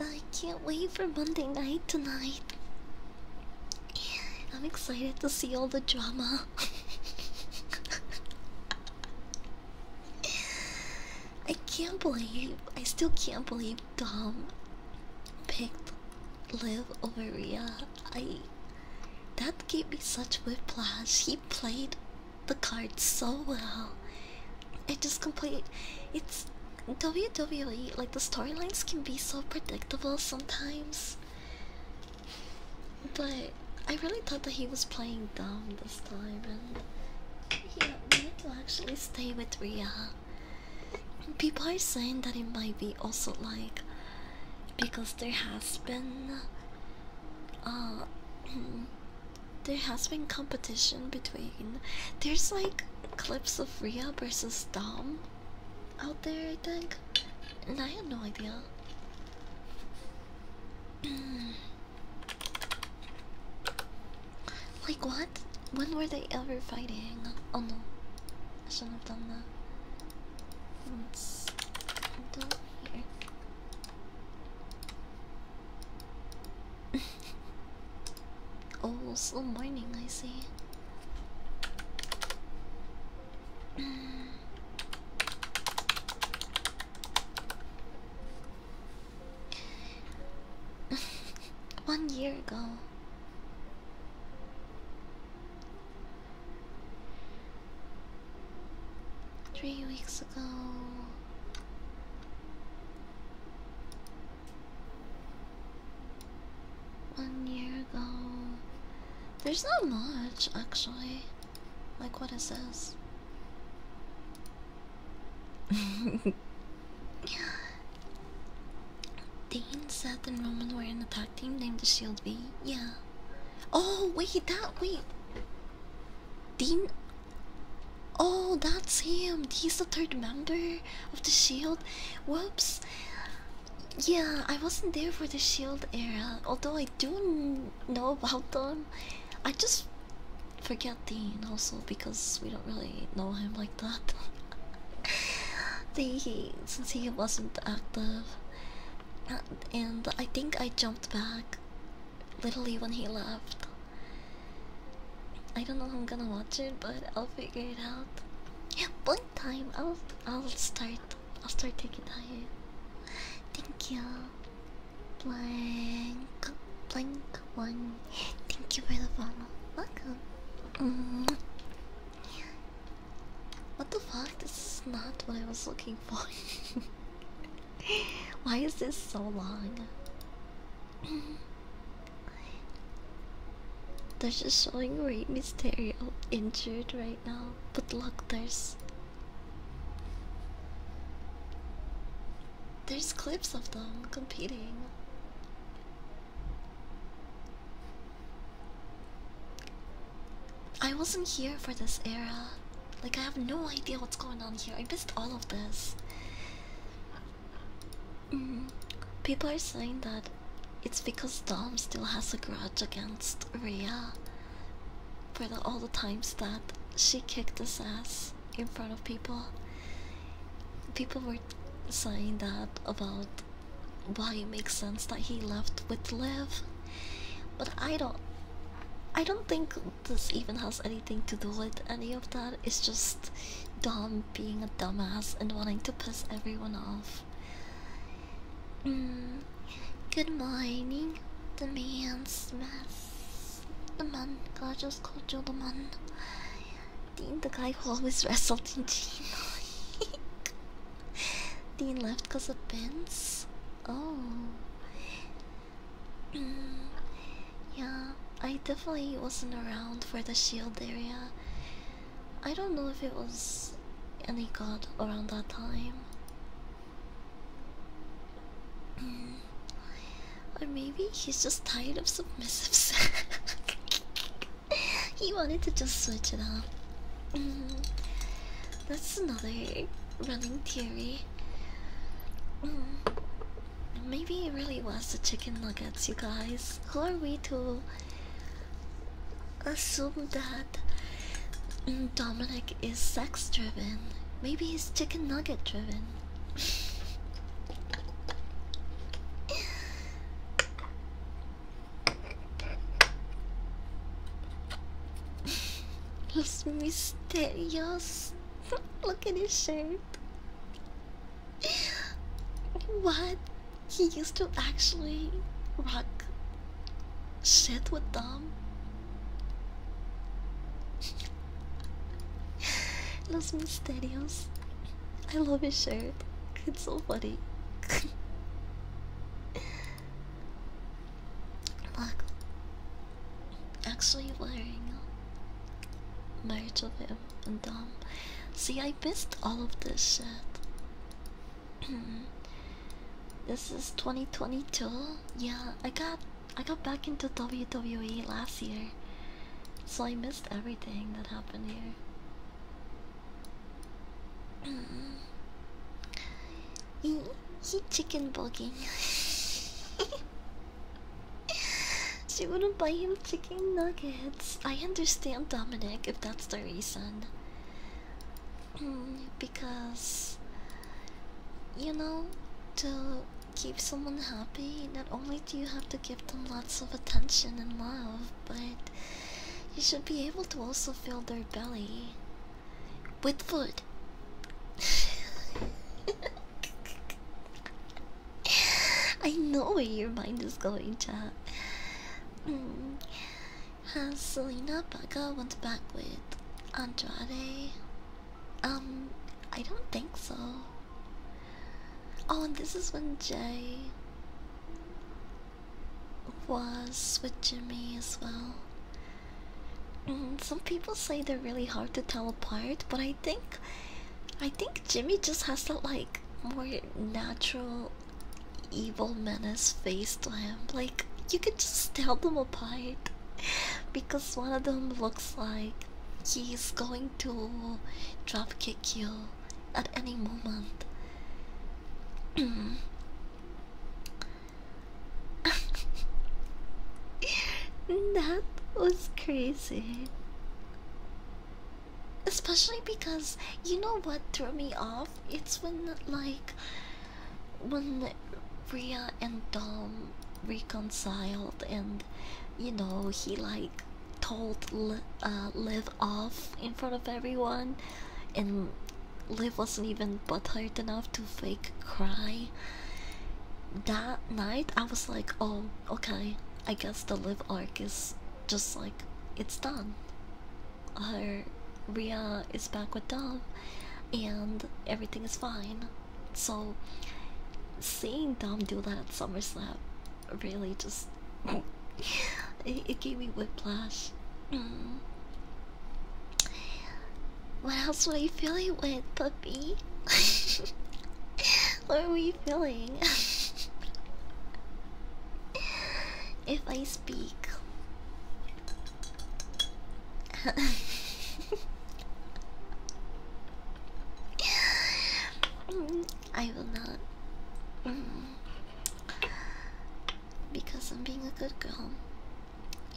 I can't wait for Monday night tonight. I'm excited to see all the drama. I can't believe, I still can't believe Dom picked Liv over Rhea. that gave me such whiplash. He played the card so well. It just complete. It's WWE, like the storylines can be so predictable sometimes. But I really thought that he was playing dumb this time, and he wanted to actually stay with Ria. People are saying that it might be also like because there has been uh, there has been competition between there's like clips of Ria versus Dom out there I think and I have no idea Like what? When were they ever fighting? Oh no, I shouldn't have done that. Let's do here. oh, slow mining. I see. One year ago. Three weeks ago. One year ago. There's not much actually. Like, what what is this? Dane, Seth, and Roman were in a tag team named the Shield V. Yeah. Oh, wait, that, wait. Dean. Oh, that's him. He's the third member of the Shield. Whoops. Yeah, I wasn't there for the Shield era, although I do know about them. I just forget Dean also because we don't really know him like that. he, since he wasn't active, and I think I jumped back literally when he left. I don't know how I'm gonna watch it, but I'll figure it out. Yeah, one time I'll I'll start I'll start taking diet. Thank you. Blank, blank one. Thank you for the follow. Welcome. What the fuck? This is not what I was looking for. Why is this so long? There's just showing Ray Mysterio injured right now. But look, there's there's clips of them competing. I wasn't here for this era. Like, I have no idea what's going on here. I missed all of this. Mm-hmm. People are saying that it's because Dom still has a grudge against Rhea for all the times that she kicked his ass in front of people. People were saying that about why it makes sense that he left with Liv, but I don't. I don't think this even has anything to do with any of that. It's just Dom being a dumbass and wanting to piss everyone off. Mm, good morning, the man Smith. The man, God just called Joe the man. Dean, the guy who always wrestled in Gino. Dean left because of pins. Oh. Mm, yeah, I definitely wasn't around for the shield area. I don't know if it was any god around that time or maybe he's just tired of submissives. he wanted to just switch it up. Mm-hmm. That's another running theory. Mm-hmm. Maybe he really was the chicken nuggets, you guys. Who are we to assume that Dominic is sex driven? Maybe he's chicken nugget driven. He's mysterious. Look at his shape. What? He used to actually rock shit with them. Los Misterios. I love his shirt. It's so funny. Look. Actually wearing uh, Marriage of him and Dom. See I missed all of this shit. this is 2022. Yeah, I got I got back into WWE last year, so I missed everything that happened here. he, chicken bugging. she wouldn't buy him chicken nuggets. I understand Dominic if that's the reason. because you know the keep someone happy, not only do you have to give them lots of attention and love, but you should be able to also fill their belly with food. I know where your mind is going, to. Mm. Has Selena Baga went back with Andrade? Um, I don't think so. Oh, and this is when Jay was with Jimmy as well. Mm, some people say they're really hard to tell apart, but I think, I think Jimmy just has that like more natural evil menace face to him. Like you could just tell them apart because one of them looks like He's going to drop kick you at any moment. that was crazy. Especially because you know what threw me off? It's when like when Ria and Dom reconciled and you know he like told Li uh, live off in front of everyone and liv wasn't even but butthurt enough to fake cry that night i was like oh okay i guess the live arc is just like it's done her ria is back with Dom, and everything is fine so seeing Dom do that at SummerSlam really just it, it gave me whiplash. Mm. What else were you feeling with, puppy? what were you feeling? if I speak. I will not. Mm, because I'm being a good girl.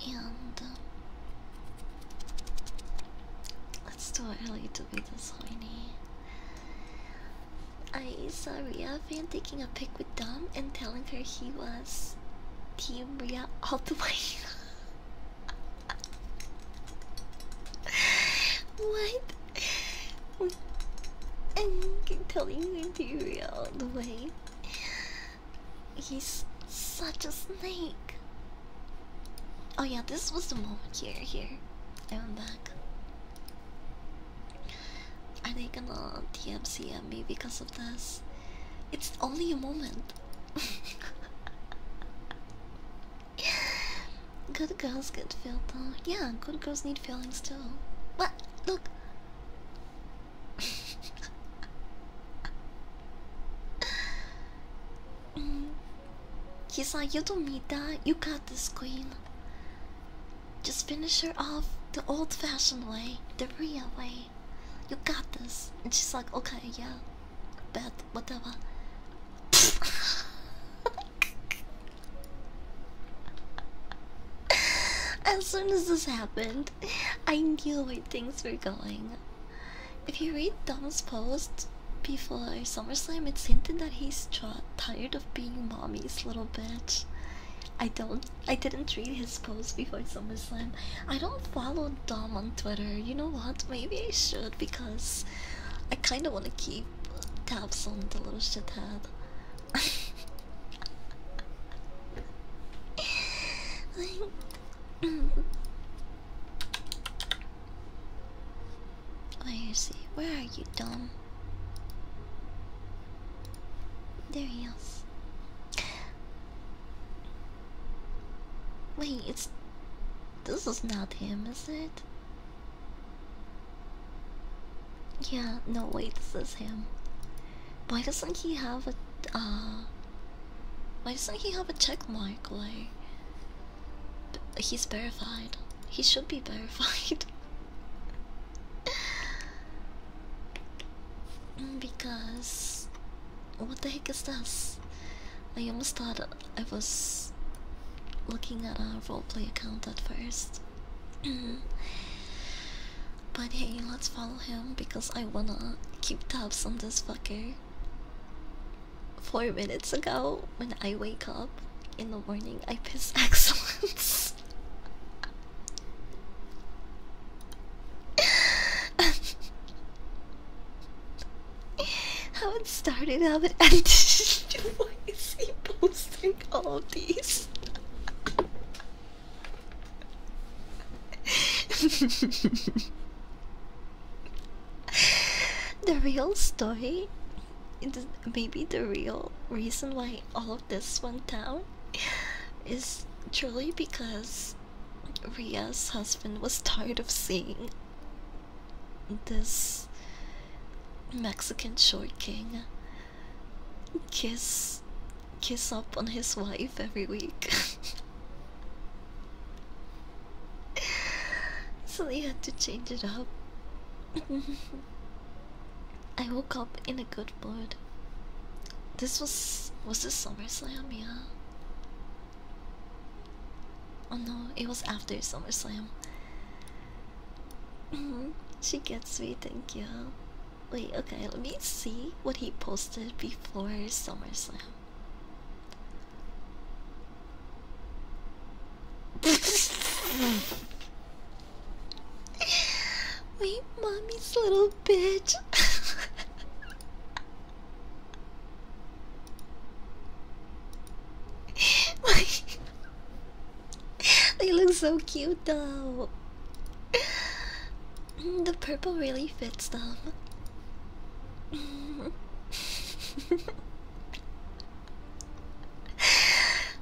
And. Uh, it's too early to be this horny. I saw Ria fan taking a pic with Dom and telling her he was Team Ria all the way. what? I'm telling you to be real, the way he's such a snake. Oh yeah, this was the moment here, here. I went back. Are they gonna DMCM me because of this? It's only a moment. good girls get filled though. Yeah, good girls need feelings too. But look. she's mm. like, you don't need that. You got this, queen. Just finish her off the old-fashioned way, the real way. You got this. And she's like, okay, yeah, bet whatever. as soon as this happened, I knew where things were going. If you read Dom's post before SummerSlam, it's hinted that he's tired of being mommy's little bitch. I don't. I didn't read his post before SummerSlam. I don't follow Dom on Twitter. You know what? Maybe I should because I kind of want to keep tabs on the little shithead. like, Where is he? Where are you, dumb? There he is. Wait, it's. This is not him, is it? Yeah, no, way, this is him. Why doesn't he have a. Uh, why doesn't he have a check mark? Like. He's verified. He should be verified. Mm, because what the heck is this? I almost thought I was looking at a roleplay account at first. but hey, let's follow him because I wanna keep tabs on this fucker. Four minutes ago, when I wake up in the morning, I piss excellence. how it started, how it ended. Why is he posting all of these? the real story, maybe the real reason why all of this went down, is truly because Ria's husband was tired of seeing this Mexican short king kiss kiss up on his wife every week. so they had to change it up. I woke up in a good mood. This was was this SummerSlam, yeah. Oh no, it was after SummerSlam. Mm-hmm. she gets me, thank you. Wait, okay, let me see what he posted before SummerSlam. Wait, mommy's little bitch. they look so cute though. the purple really fits them.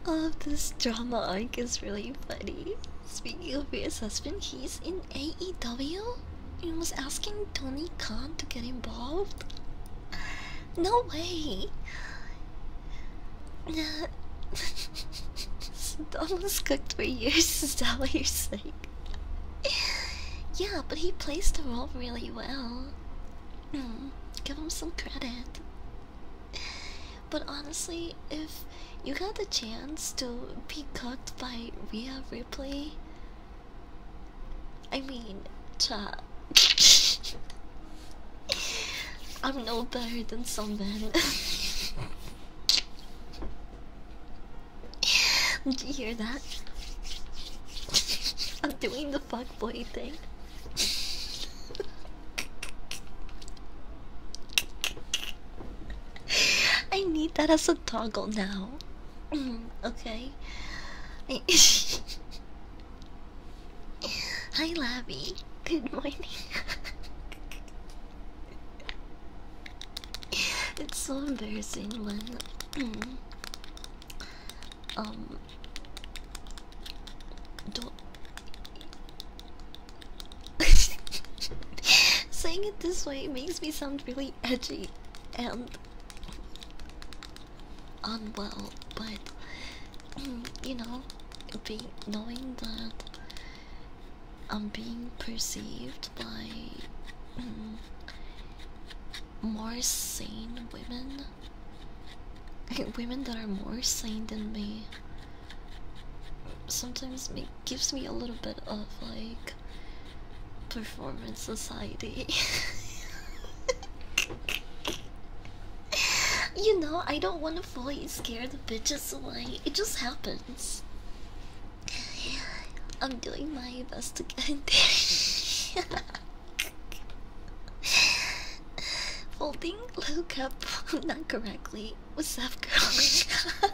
All of this drama arc is really funny. Speaking of his husband, he's in AEW? He was asking Tony Khan to get involved? No way! Don was cooked for years, is that what you're saying? yeah, but he plays the role really well. Hmm, give him some credit. But honestly, if you got the chance to be cooked by Rhea Ripley, I mean, I'm no better than some men. Did you hear that? I'm doing the boy thing. I need that as a toggle now. okay. Hi, Labby. Good morning. it's so embarrassing when um don't saying it this way makes me sound really edgy and unwell, but mm, you know, be knowing that I'm being perceived by mm, more sane women, women that are more sane than me, sometimes me gives me a little bit of like performance society. you know, I don't want to fully scare the bitches away. It just happens. I'm doing my best to get in there. Folding little cup, not correctly. What's up, girl?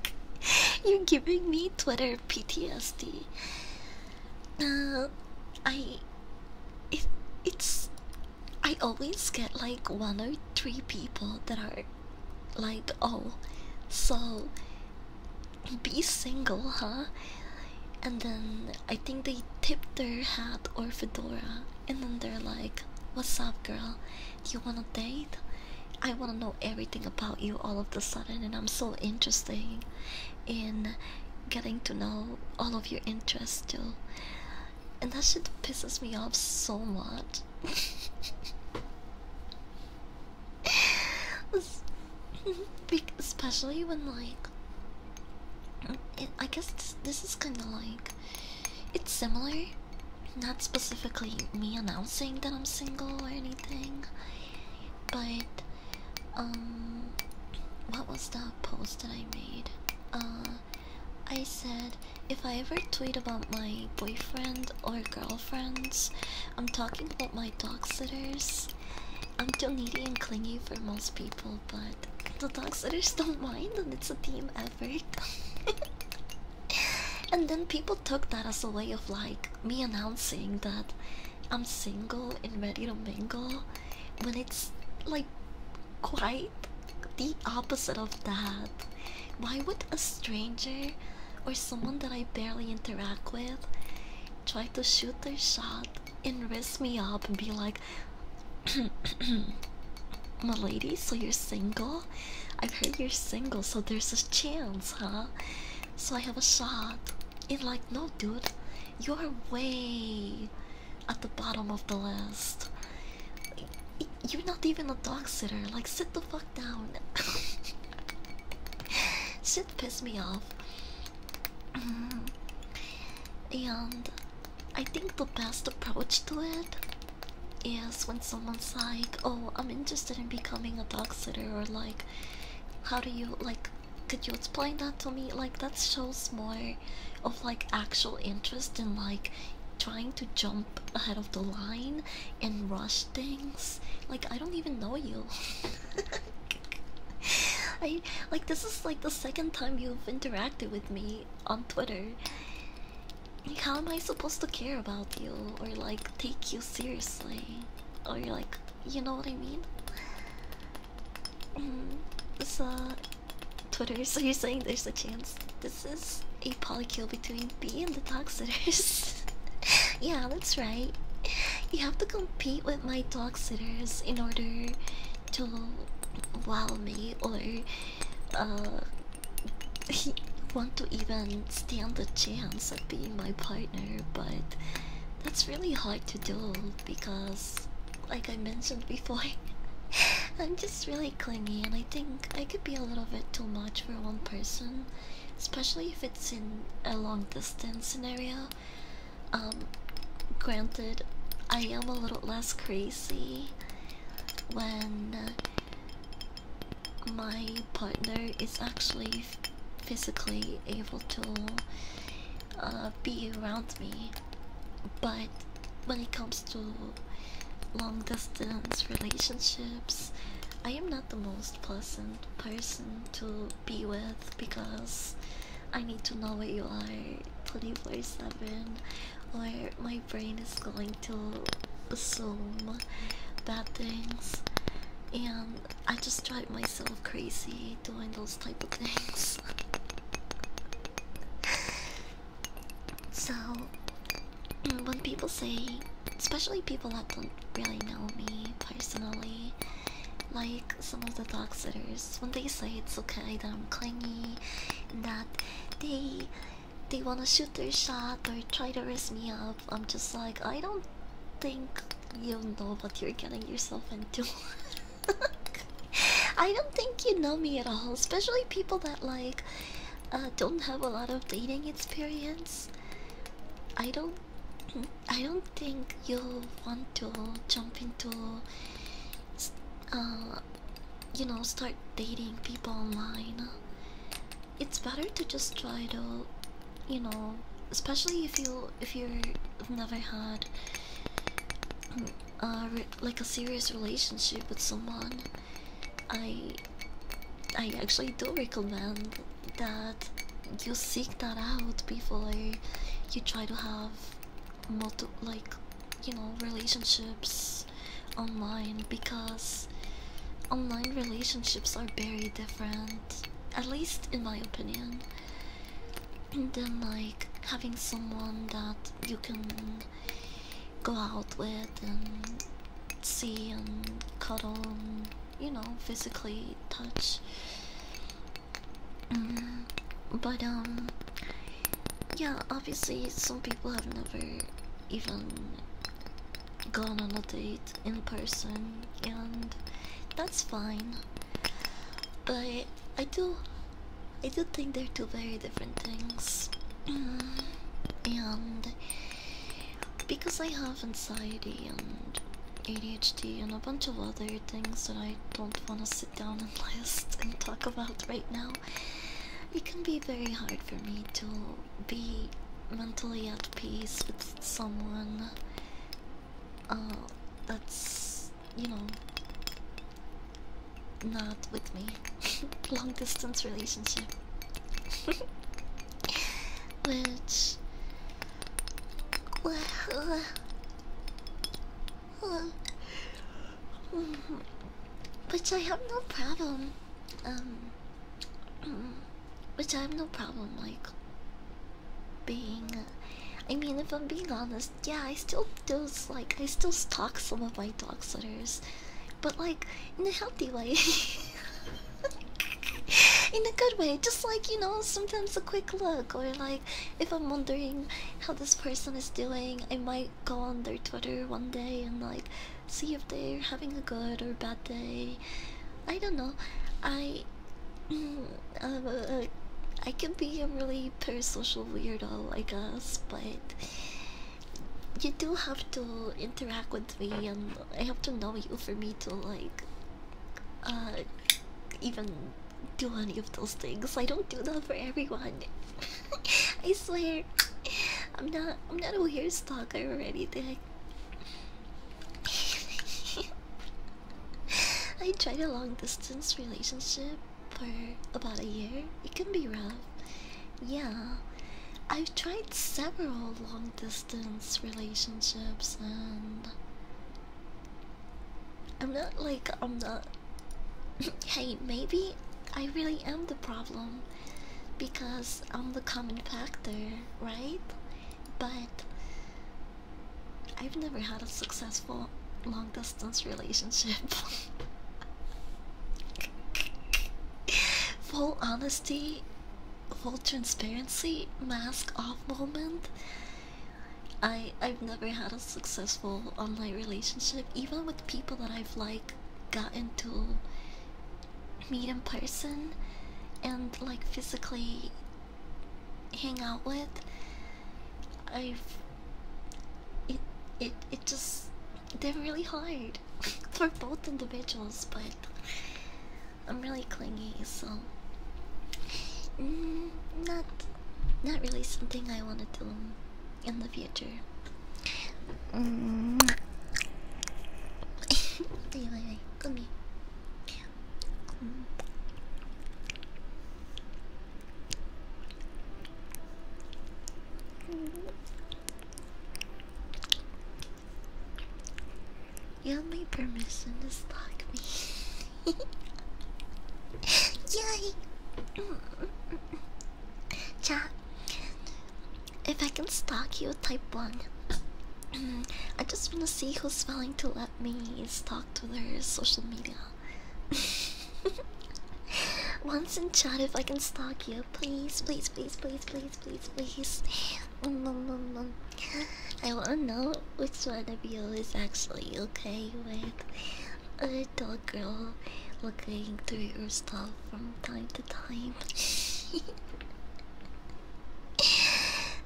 You're giving me Twitter PTSD. Uh, I, it, it's, I always get like one or three people that are like, oh, so be single, huh? And then I think they tip their hat or fedora, and then they're like, what's up, girl? Do you want to date? I want to know everything about you all of the sudden, and I'm so interesting in getting to know all of your interests too. And that shit pisses me off so much. Especially when like I guess this is kind of like it's similar, not specifically me announcing that I'm single or anything, but um, what was the post that I made? Uh, I said if I ever tweet about my boyfriend or girlfriends, I'm talking about my dog sitters. I'm too needy and clingy for most people, but the dog sitters don't mind, and it's a team effort. and then people took that as a way of like me announcing that I'm single and ready to mingle when it's like quite the opposite of that. Why would a stranger or someone that I barely interact with try to shoot their shot and risk me up and be like, My lady, so you're single? I've heard you're single, so there's a chance, huh? So I have a shot. It's like, no, dude, you're way at the bottom of the list. You're not even a dog sitter. Like, sit the fuck down. Sit piss me off. And I think the best approach to it is when someone's like, oh, I'm interested in becoming a dog sitter, or like, how do you, like, could you explain that to me? Like that shows more of like actual interest in like trying to jump ahead of the line and rush things. Like I don't even know you. I like this is like the second time you've interacted with me on Twitter. Like how am I supposed to care about you or like take you seriously? Or like you know what I mean? Mm, so, uh, Twitter, so you're saying there's a chance this is a polykill between me and the dog sitters? yeah, that's right. You have to compete with my dog sitters in order to wow me or uh, want to even stand a chance of being my partner, but that's really hard to do because, like I mentioned before, I'm just really clingy and I think I could be a little bit too much for one person, especially if it's in a long distance scenario. Um, granted, I am a little less crazy when uh, my partner is actually physically able to uh, be around me, but when it comes to long distance relationships, I am not the most pleasant person to be with because I need to know where you are 24 7, or my brain is going to assume bad things. And I just drive myself crazy doing those type of things. so, mm, when people say, especially people that don't really know me personally, like some of the dog when they say it's okay that I'm clingy, and that they they want to shoot their shot or try to raise me up, I'm just like, I don't think you know what you're getting yourself into. I don't think you know me at all, especially people that like uh, don't have a lot of dating experience. I don't, I don't think you'll want to jump into, uh, you know, start dating people online. It's better to just try to you know, especially if you if you've never had uh, like a serious relationship with someone, I I actually do recommend that you seek that out before you try to have multiple like you know relationships online because online relationships are very different at least in my opinion and then like having someone that you can go out with and see and cuddle you know physically touch mm. but um yeah obviously some people have never even gone on a date in person and that's fine. But I do, I do think they're two very different things, and because I have anxiety and ADHD and a bunch of other things that I don't want to sit down and list and talk about right now, it can be very hard for me to be mentally at peace with someone uh, that's you know not with me. Long distance relationship, which. Which I have no problem, um, which I have no problem like being. I mean, if I'm being honest, yeah, I still do like I still stalk some of my dog sitters, but like in a healthy way, in a good way. Just like you know, sometimes a quick look or like if I'm wondering how this person is doing, I might go on their Twitter one day and like see if they're having a good or bad day. I don't know. I Mm, um, uh, I can be a really parasocial weirdo, I guess, but you do have to interact with me, and I have to know you for me to like, uh, even do any of those things. I don't do that for everyone. I swear, I'm not. I'm not a weird stalker or anything. I tried a long distance relationship for about a year. It can be rough. Yeah. I've tried several long distance relationships and I'm not like I'm not Hey, maybe I really am the problem because I'm the common factor, right? But I've never had a successful long distance relationship. full honesty, full transparency, mask off moment. I I've never had a successful online relationship, even with people that I've like gotten to meet in person and like physically hang out with. I've it it it just they're really hard for both individuals, but I'm really clingy, so mm, not not really something I want to do in the future. Mm. anyway, come you have my permission to stalk me. Yay! Chat, if I can stalk you type 1, I just want to see who's willing to let me stalk to their social media. Once in chat, if I can stalk you, please, please, please, please, please, please, I wanna know which one of you is actually okay with a dog girl looking through your stuff from time to time.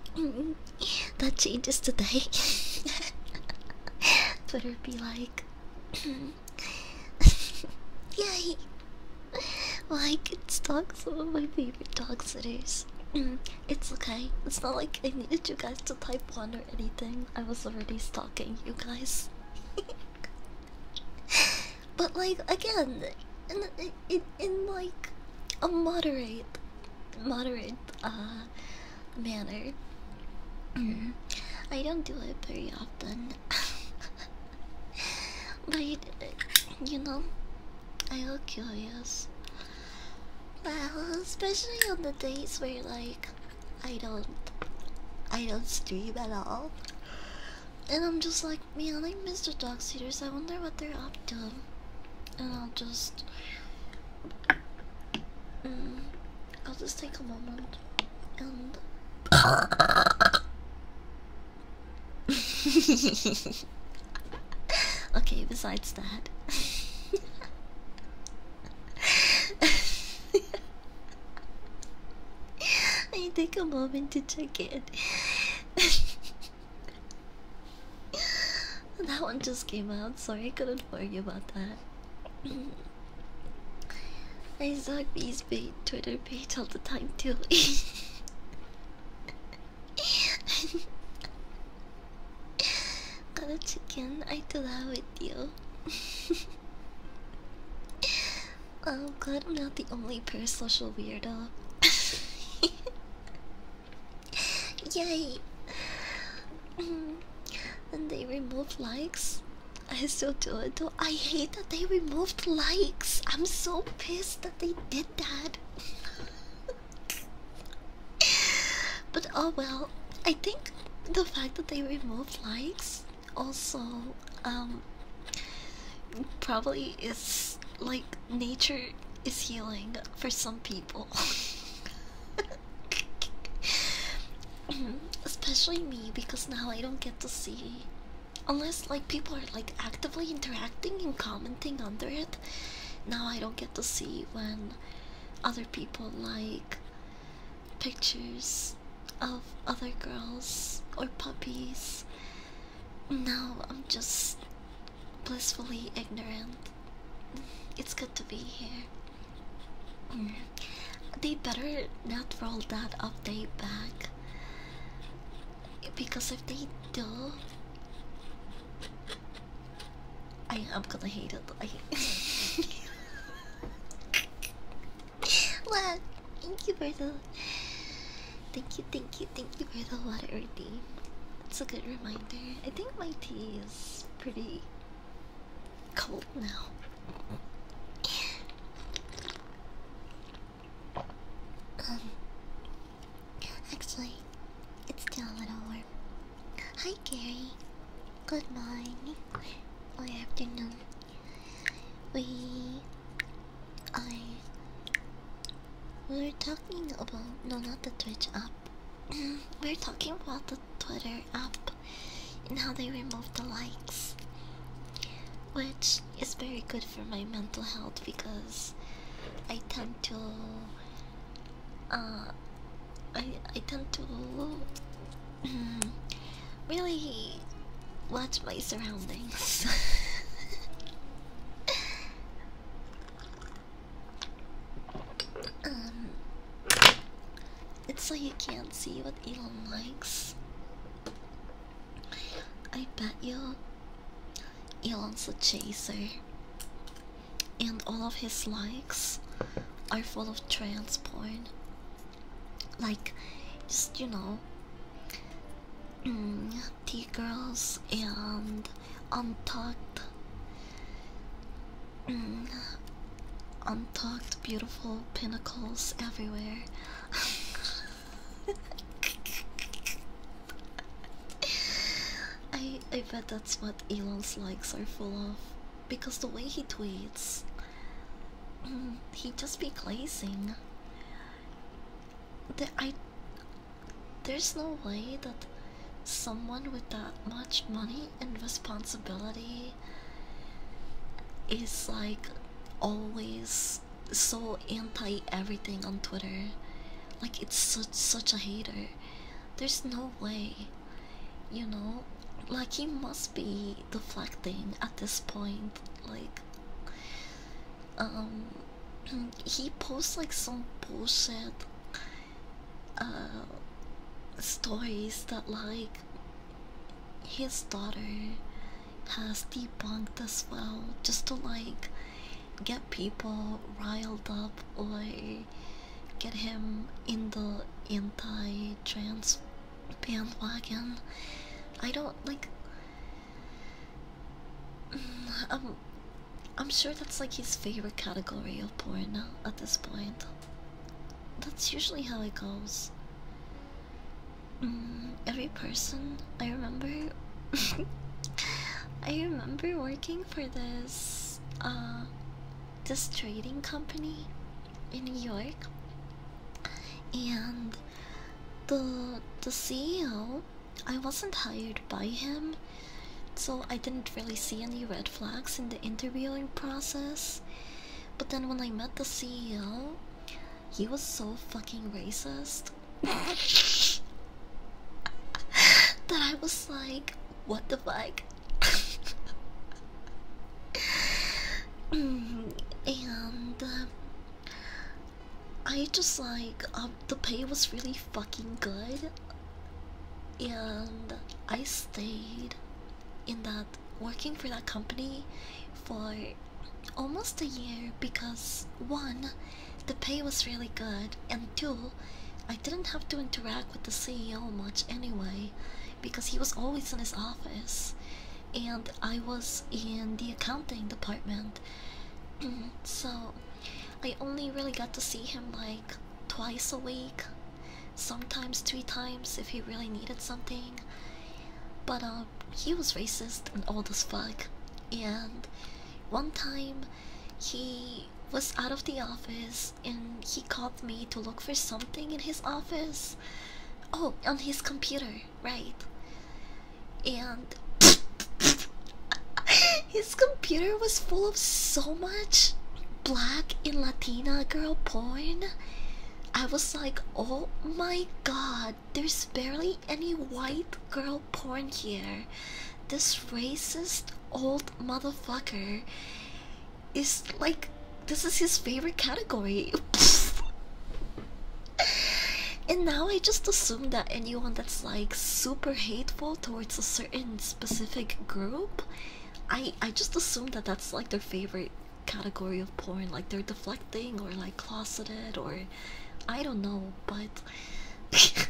that changes today. Twitter be like, yay! Well, I could stalk some of my favorite dog sitters. it's okay. It's not like I needed you guys to type one or anything. I was already stalking you guys. but like again, in, in like a moderate, moderate uh, manner. I don't do it very often. but you know, I look curious. Well, especially on the days where like I don't I don't stream at all. And I'm just like, man, I miss the dog sitters. I wonder what they're up to and I'll just mm, I'll just take a moment okay, besides that I take a moment to check it. that one just came out. Sorry, I couldn't worry about that. I suck these big Twitter page all the time too. Got a chicken. I do that with you. I'm oh, glad I'm not the only per-social weirdo. Yay! and they removed likes. I still do it though. I hate that they removed likes. I'm so pissed that they did that. but oh well. I think the fact that they removed likes also um probably is like nature is healing for some people. Especially me, because now I don't get to see. Unless like people are like actively interacting and commenting under it, now I don't get to see when other people like pictures of other girls or puppies. Now I'm just blissfully ignorant. It's good to be here. Mm. They better not roll that update back. Because if they do, I am gonna hate it. I What? Thank you for the. Thank you, thank you, thank you for the water, Earthy. It's a good reminder. I think my tea is pretty cold now. um, actually, it's still a little warm. Hi, Gary. Good morning Good afternoon. We, I, we we talking about no, not the Twitch app. we're talking about the Twitter up and how they remove the likes, which is very good for my mental health because I tend to uh I I tend to mm, really watch my surroundings. Um, it's so you can't see what Elon likes. I bet you Elon's a chaser, and all of his likes are full of trans porn. Like, just you know, mm, T girls and untucked. Mm-hmm. untucked, beautiful pinnacles everywhere. I I bet that's what Elon's likes are full of, because the way he tweets, mm, he would just be glazing. I, there's no way that someone with that much money and responsibility is like always so anti everything on Twitter. Like it's such such a hater. There's no way. You know? Like he must be deflecting at this point. Like um he posts like some bullshit uh, stories that like his daughter has debunked as well just to like get people riled up or get him in the anti-trans bandwagon i don't like mm, I'm i'm sure that's like his favorite category of porn now at this point that's usually how it goes. Mm, every person I remember, I remember working for this, uh, this trading company in New York, and the the CEO. I wasn't hired by him so I didn't really see any red flags in the interviewing process. But then when I met the CEO, he was so fucking racist that I was like, what the fuck? and uh, I just like, um, the pay was really fucking good, and I stayed in that working for that company for almost a year because one, the pay was really good, and two, I didn't have to interact with the CEO much anyway because he was always in his office and I was in the accounting department. so I only really got to see him like twice a week sometimes three times if he really needed something. But um, he was racist and old as fuck. And one time he was out of the office and he called me to look for something in his office. Oh, on his computer, right. And his computer was full of so much black in Latina girl porn, I was like, oh my god, there's barely any white girl porn here. This racist old motherfucker is like, this is his favorite category. and now I just assume that anyone that's like super hateful towards a certain specific group I I just assume that that's like their favorite category of porn, like they're deflecting or like closeted or I don't know, but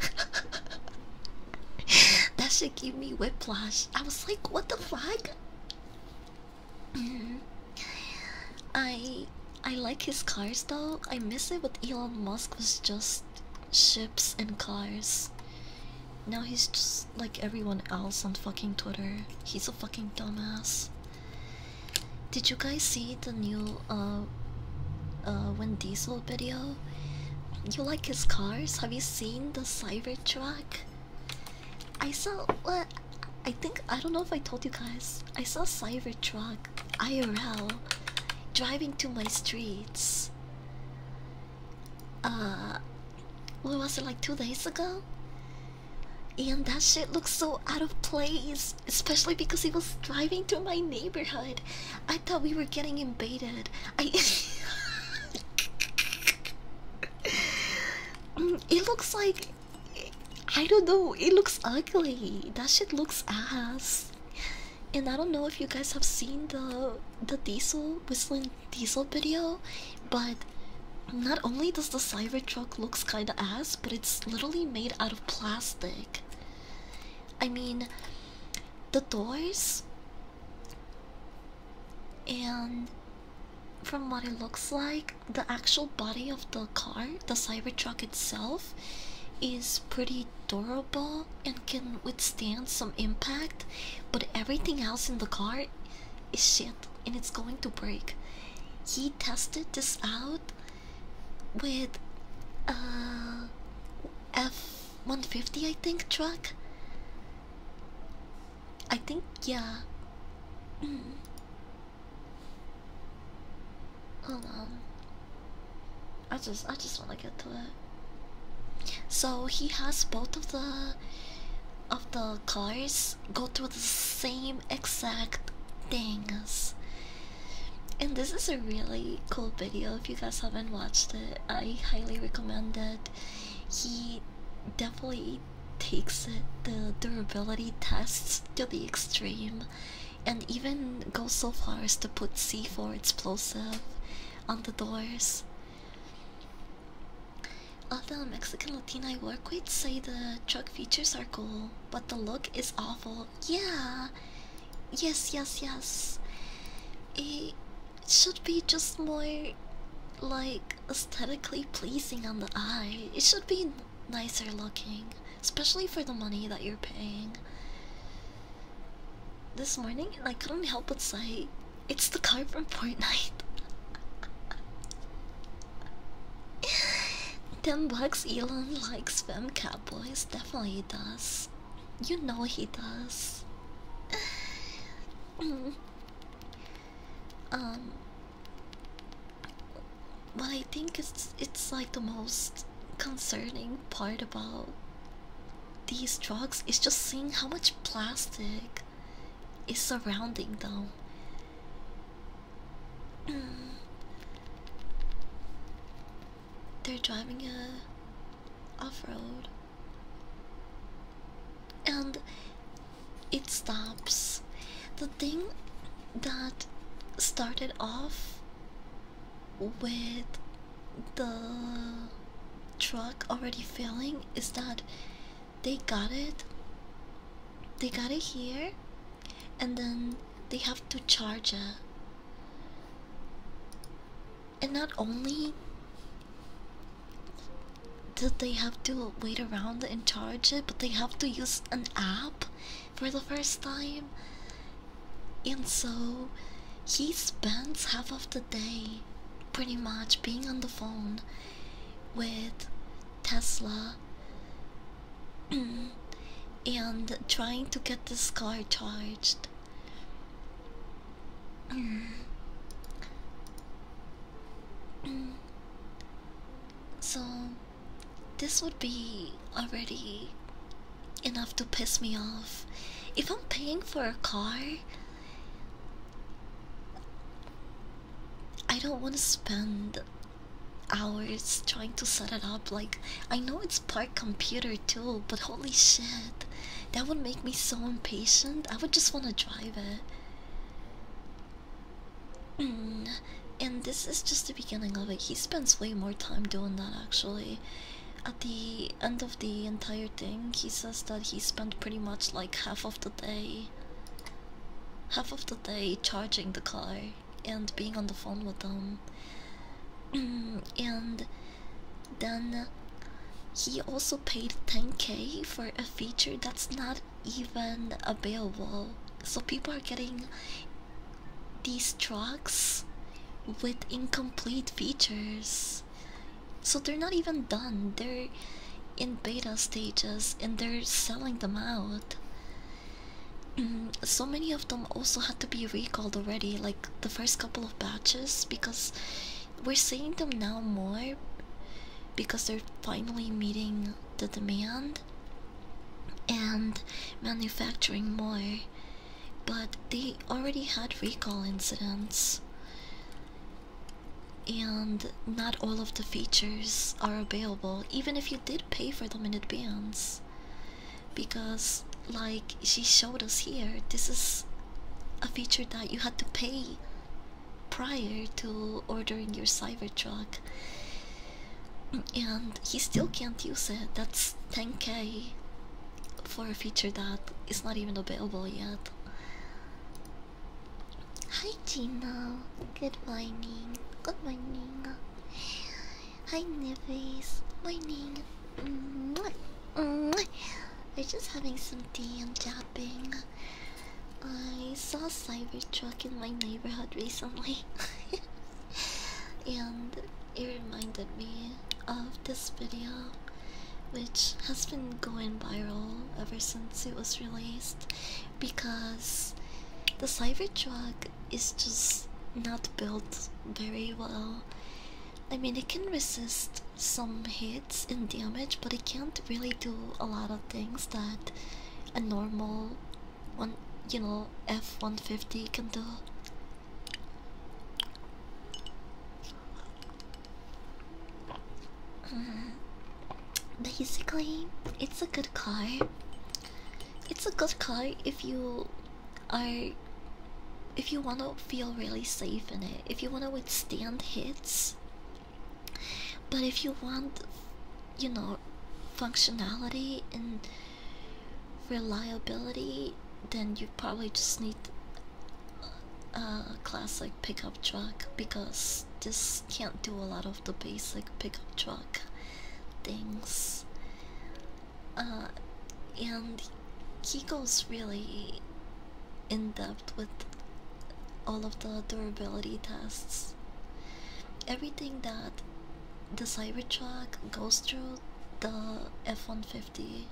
that should give me whiplash. I was like, what the fuck? Mm-hmm. I I like his cars though. I miss it. But Elon Musk was just ships and cars. Now he's just like everyone else on fucking Twitter. He's a fucking dumbass. Did you guys see the new uh uh Vin Diesel video? You like his cars? Have you seen the Cybertruck? I saw what I think I don't know if I told you guys. I saw Cybertruck IRL driving to my streets uh what was it like two days ago and that shit looks so out of place especially because he was driving through my neighborhood i thought we were getting invaded mm, it looks like i don't know it looks ugly that shit looks ass and i don't know if you guys have seen the the diesel whistling diesel video, but not only does the Cyber Truck looks kinda ass, but it's literally made out of plastic. I mean, the doors and from what it looks like, the actual body of the car, the Cyber Truck itself, is pretty durable and can withstand some impact, but everything else in the car is shit and it's going to break. He tested this out with uh F150 I think truck. I think yeah. Mm-hmm. Hold on. I just I just want to get to it. So he has both of the of the cars go through the same exact things. And this is a really cool video. If you guys haven't watched it, I highly recommend it. He definitely takes the durability tests to the extreme, and even goes so far as to put C4 explosive on the doors. Of the Mexican Latina I work with say the truck features are cool, but the look is awful. Yeah, yes, yes, yes. It should be just more like aesthetically pleasing on the eye. It should be nicer looking, especially for the money that you're paying. This morning, I couldn't help but say, it's the car from Fortnite. Ten bucks Elon likes spam cowboys, definitely he does. You know he does. um What I think it's it's like the most concerning part about these drugs is just seeing how much plastic it's surrounding them. Mm. They're driving a off-road and it stops. The thing that started off with the truck already failing is that they got it they got it here and then they have to charge it and not only did they have to wait around and charge it but they have to use an app for the first time and so he spends half of the day pretty much being on the phone with Tesla and trying to get this car charged. so, this would be already enough to piss me off. If I'm paying for a car I don't want to spend hours trying to set it up. Like, I know it's part computer too, but holy shit, that would make me so impatient. I would just want to drive it. Mm, and this is just the beginning of it. He spends way more time doing that actually. At the end of the entire thing, he says that he spent pretty much like half of the day half of the day charging the car and being on the phone with them and then he also paid 10k for a feature that's not even available so people are getting these trucks with incomplete features so they're not even done. They're in beta stages and they're selling them out. Mm, so many of them also had to be recalled already, like the first couple of batches, because we're seeing them now more because they're finally meeting the demand and manufacturing more. But they already had recall incidents and not all of the features are available even if you did pay for them in advance because like she showed us here this is a feature that you had to pay prior to ordering your Cybertruck and he still can't use it that's 10k for a feature that is not even available yet Hi Gina, good morning, good morning. Hi Nivis, morning. Mwah. Mwah. We're just having some tea and chopping. I saw a Cybertruck in my neighborhood recently, and it reminded me of this video which has been going viral ever since it was released because the drug is just not built very well. I mean, it can resist some hits and damage, but it can't really do a lot of things that a normal one, you know, F-150 can do. Mm-hmm. Basically, it's a good car. It's a good car if you are if you want to feel really safe in it. If you want to withstand hits. But if you want you know functionality and reliability, then you probably just need uh, classic pickup truck because this can't do a lot of the basic pickup truck things. Uh, and he goes really in depth with all of the durability tests. Everything that the Cybertruck goes through, the F 150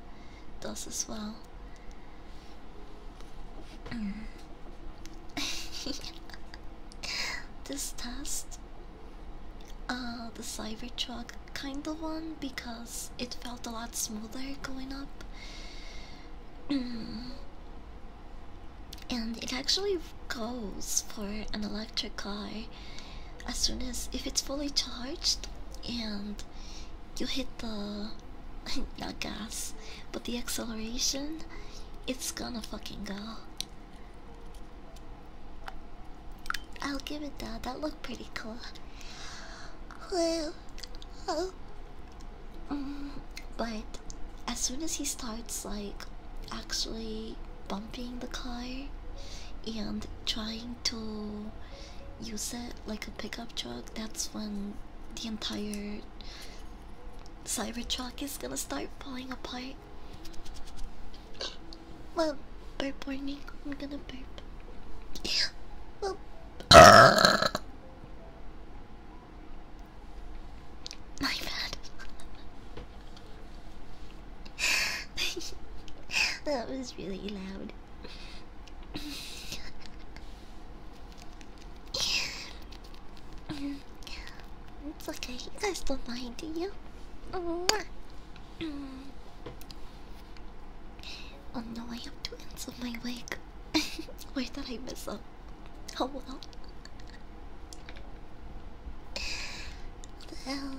does as well. Mm. this test, uh, the Cybertruck kind of one because it felt a lot smoother going up, and it actually goes for an electric car as soon as if it's fully charged and you hit the not gas, but the acceleration, it's gonna fucking go. I'll give it that. That looked pretty cool. Well, oh. but as soon as he starts like actually bumping the car and trying to use it like a pickup truck, that's when the entire Cybertruck is gonna start falling apart. Well, burp warning. I'm gonna burp. Well, my bad. that was really loud. it's okay, you guys don't mind, do you? Oh no, I have to answer my wig. Where did I mess up? Oh well. Well.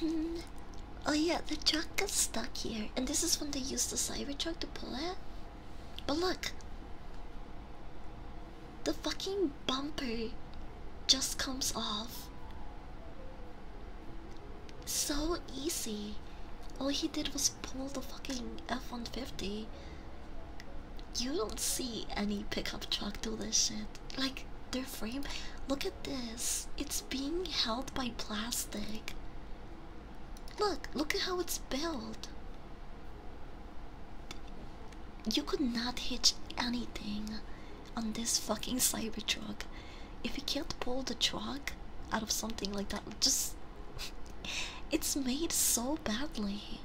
Mm, oh yeah, the truck is stuck here, and this is when they used the cyber truck to pull it. But look, the fucking bumper just comes off. So easy. All he did was pull the fucking F 150. You don't see any pickup truck do this shit. Like, their frame. Look at this. It's being held by plastic. Look, look at how it's built. You could not hitch anything on this fucking cyber truck. If you can't pull the truck out of something like that, just it's made so badly.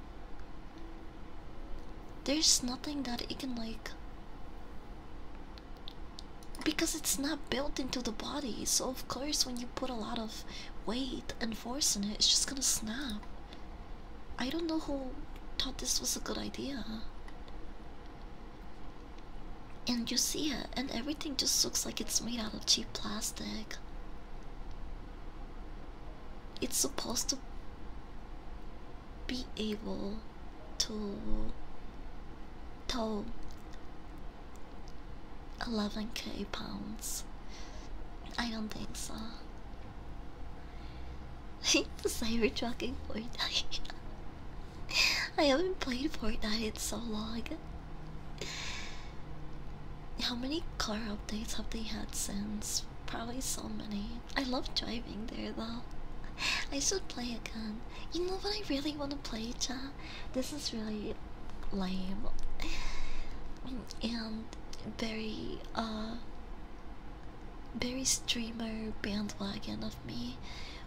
There's nothing that it can like because it's not built into the body, so of course when you put a lot of Wait and force it, it's just gonna snap. I don't know who thought this was a good idea. And you see it, and everything just looks like it's made out of cheap plastic. It's supposed to be able to. To 11k pounds. I don't think so. Cyber trucking Fortnite. I haven't played Fortnite in so long. How many car updates have they had since? Probably so many. I love driving there though. I should play again. You know what I really want to play, chat? this is really lame and very uh very streamer bandwagon of me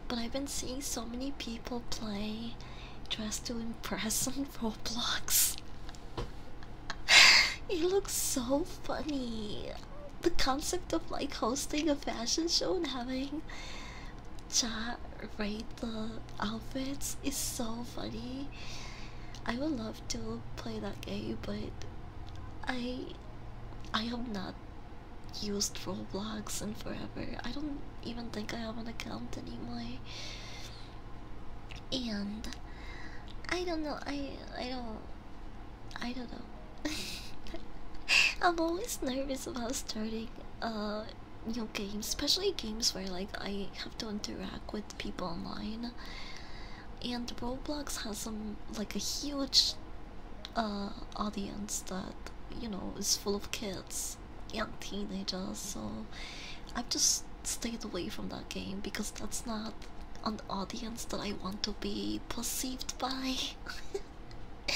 but i've been seeing so many people play dressed to impress on roblox You look so funny the concept of like hosting a fashion show and having chat rate the outfits is so funny. I would love to play that game, but I I have not used Roblox in forever. I don't even think I have an account anymore. And I don't know. I I don't I don't know. I'm always nervous about starting uh you know games, especially games where like I have to interact with people online. And Roblox has some like a huge uh audience that you know is full of kids young teenagers. So I've just stayed away from that game because that's not an audience that I want to be perceived by.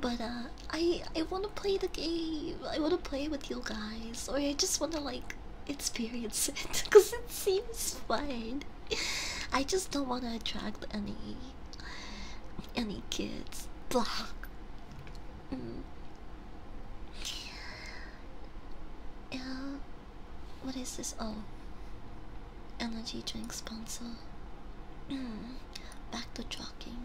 but uh I I want to play the game. I want to play with you guys, or I just want to like experience it because it seems fun. I just don't want to attract any any kids. Blah. Mm. what is this? Oh, energy drink sponsor. Hmm. Back to talking.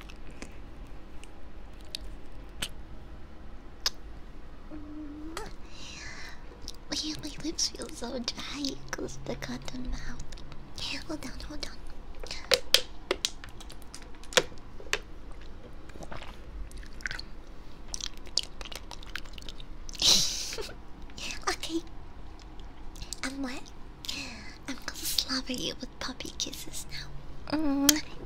Yeah, my lips feel so dry Close the cotton mouth. hold on, hold on. okay, I'm wet. I'm gonna slobber you with puppy kisses now. Mm-hmm.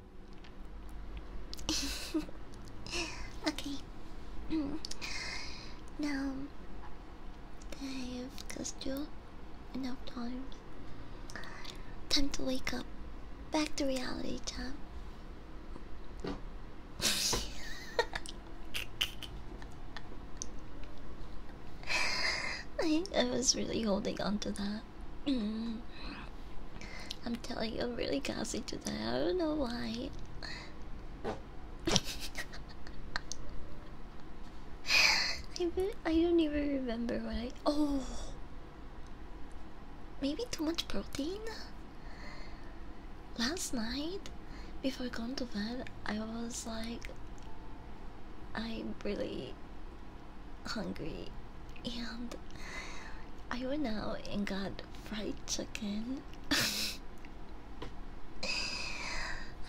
okay. now I have just you enough time. Time to wake up. Back to reality, Time. I, I was really holding on to that. I'm telling you, I'm really gassy today. I don't know why. I, I don't even remember what I. Oh! Maybe too much protein? Last night, before I going to bed, I was like. i really hungry and I went out and got fried chicken.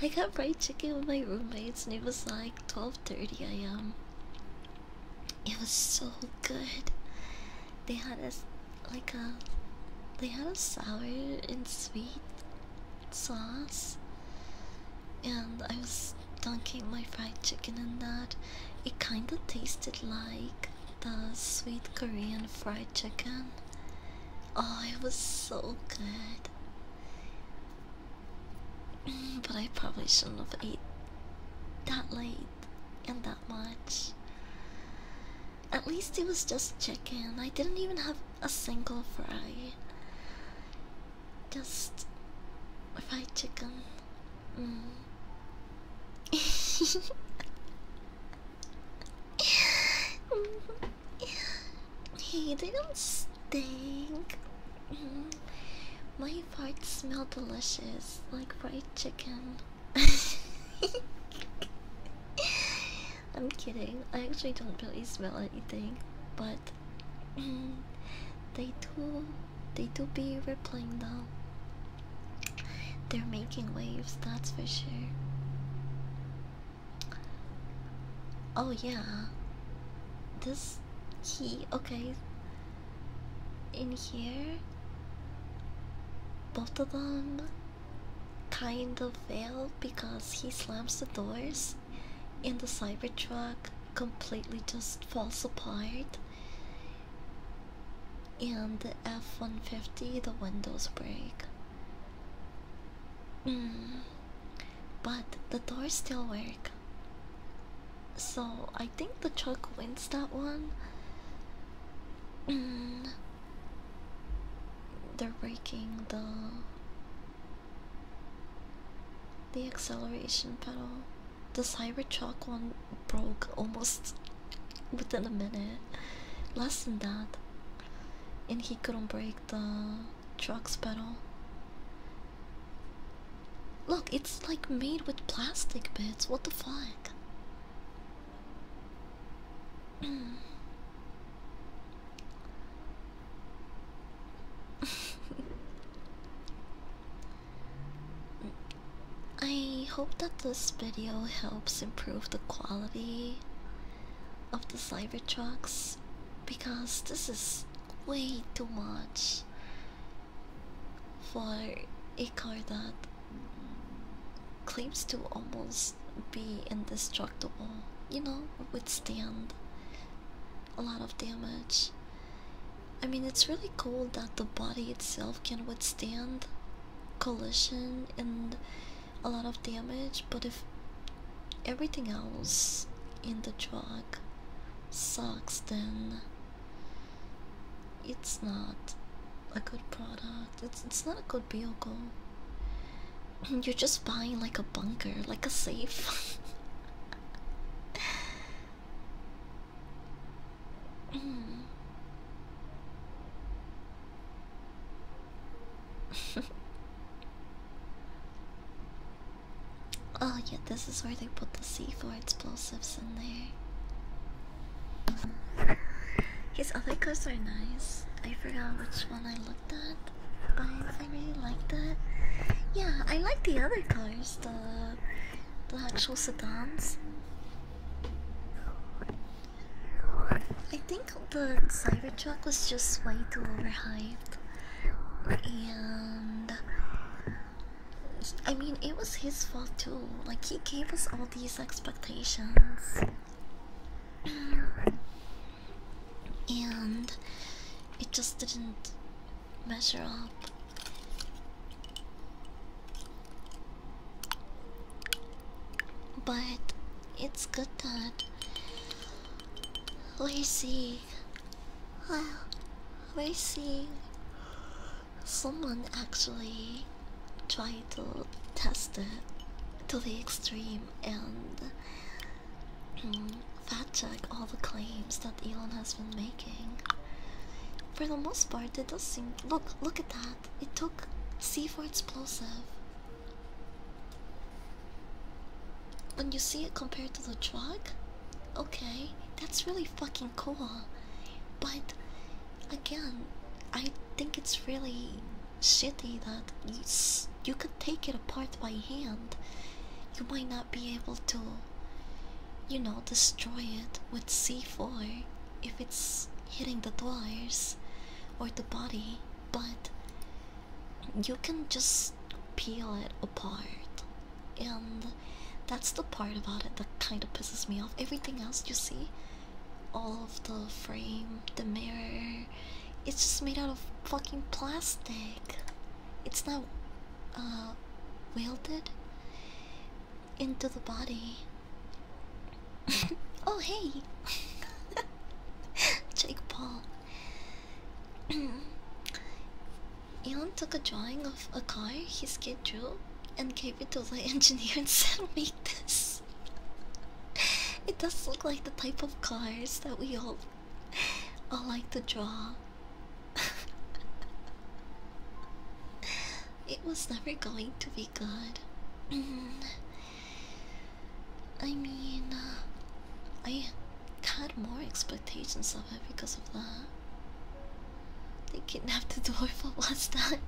I got fried chicken with my roommates and it was like 12.30 a.m. It was so good. They had a, like a, they had a sour and sweet sauce. And I was dunking my fried chicken in that. It kind of tasted like the sweet Korean fried chicken. Oh, it was so good. Mm, but I probably shouldn't have ate that late and that much. At least it was just chicken. I didn't even have a single fry. Just fried chicken. Mm-hmm. hey, they don't stink. Mm-hmm. My parts smell delicious, like fried chicken. I'm kidding. I actually don't really smell anything, but mm, they do. They do be replying though. They're making waves, that's for sure. Oh, yeah. This key, okay. In here, both of them kind of fail because he slams the doors and the cyber truck completely just falls apart and the F-150 the windows break mm. but the doors still work so I think the truck wins that one mm. they're breaking the the acceleration pedal the Cybertruck one broke almost within a minute, less than that, and he couldn't break the truck's pedal. Look, it's like made with plastic bits. What the fuck? I hope that this video helps improve the quality of the Cybertrucks because this is way too much for a car that claims to almost be indestructible, you know, withstand a lot of damage. I mean, it's really cool that the body itself can withstand collision and a lot of damage, but if everything else in the truck sucks, then it's not a good product. It's it's not a good vehicle. You're just buying like a bunker, like a safe. oh yeah, this is where they put the C4 explosives in there. His other cars are nice. I forgot which one I looked at, but I really like that. Yeah, I like the other cars, the the actual sedans. I think the Cybertruck was just way too overhyped. And I mean, it was his fault too. Like, he gave us all these expectations. and it just didn't measure up. But it's good that we see, well, we're someone actually try to test it to the extreme and um, fact check all the claims that Elon has been making. For the most part, it does seem. Look, look at that. It took C for explosive. When you see it compared to the truck, okay, that's really fucking cool. But again, I think it's really shitty that you s you could take it apart by hand. You might not be able to, you know, destroy it with C4 if it's hitting the doors or the body, but you can just peel it apart. And that's the part about it that kind of pisses me off. Everything else you see, all of the frame, the mirror, it's just made out of fucking plastic. It's not uh, welded into the body. oh, hey! Jake Paul. Elon took a drawing of a car his kid drew and gave it to the engineer and said, Make this. it does look like the type of cars that we all, all like to draw. it was never going to be be good. Mm-hmm. I mean, uh, I had more expectations of it because of that. They kidnapped the dwarf last time.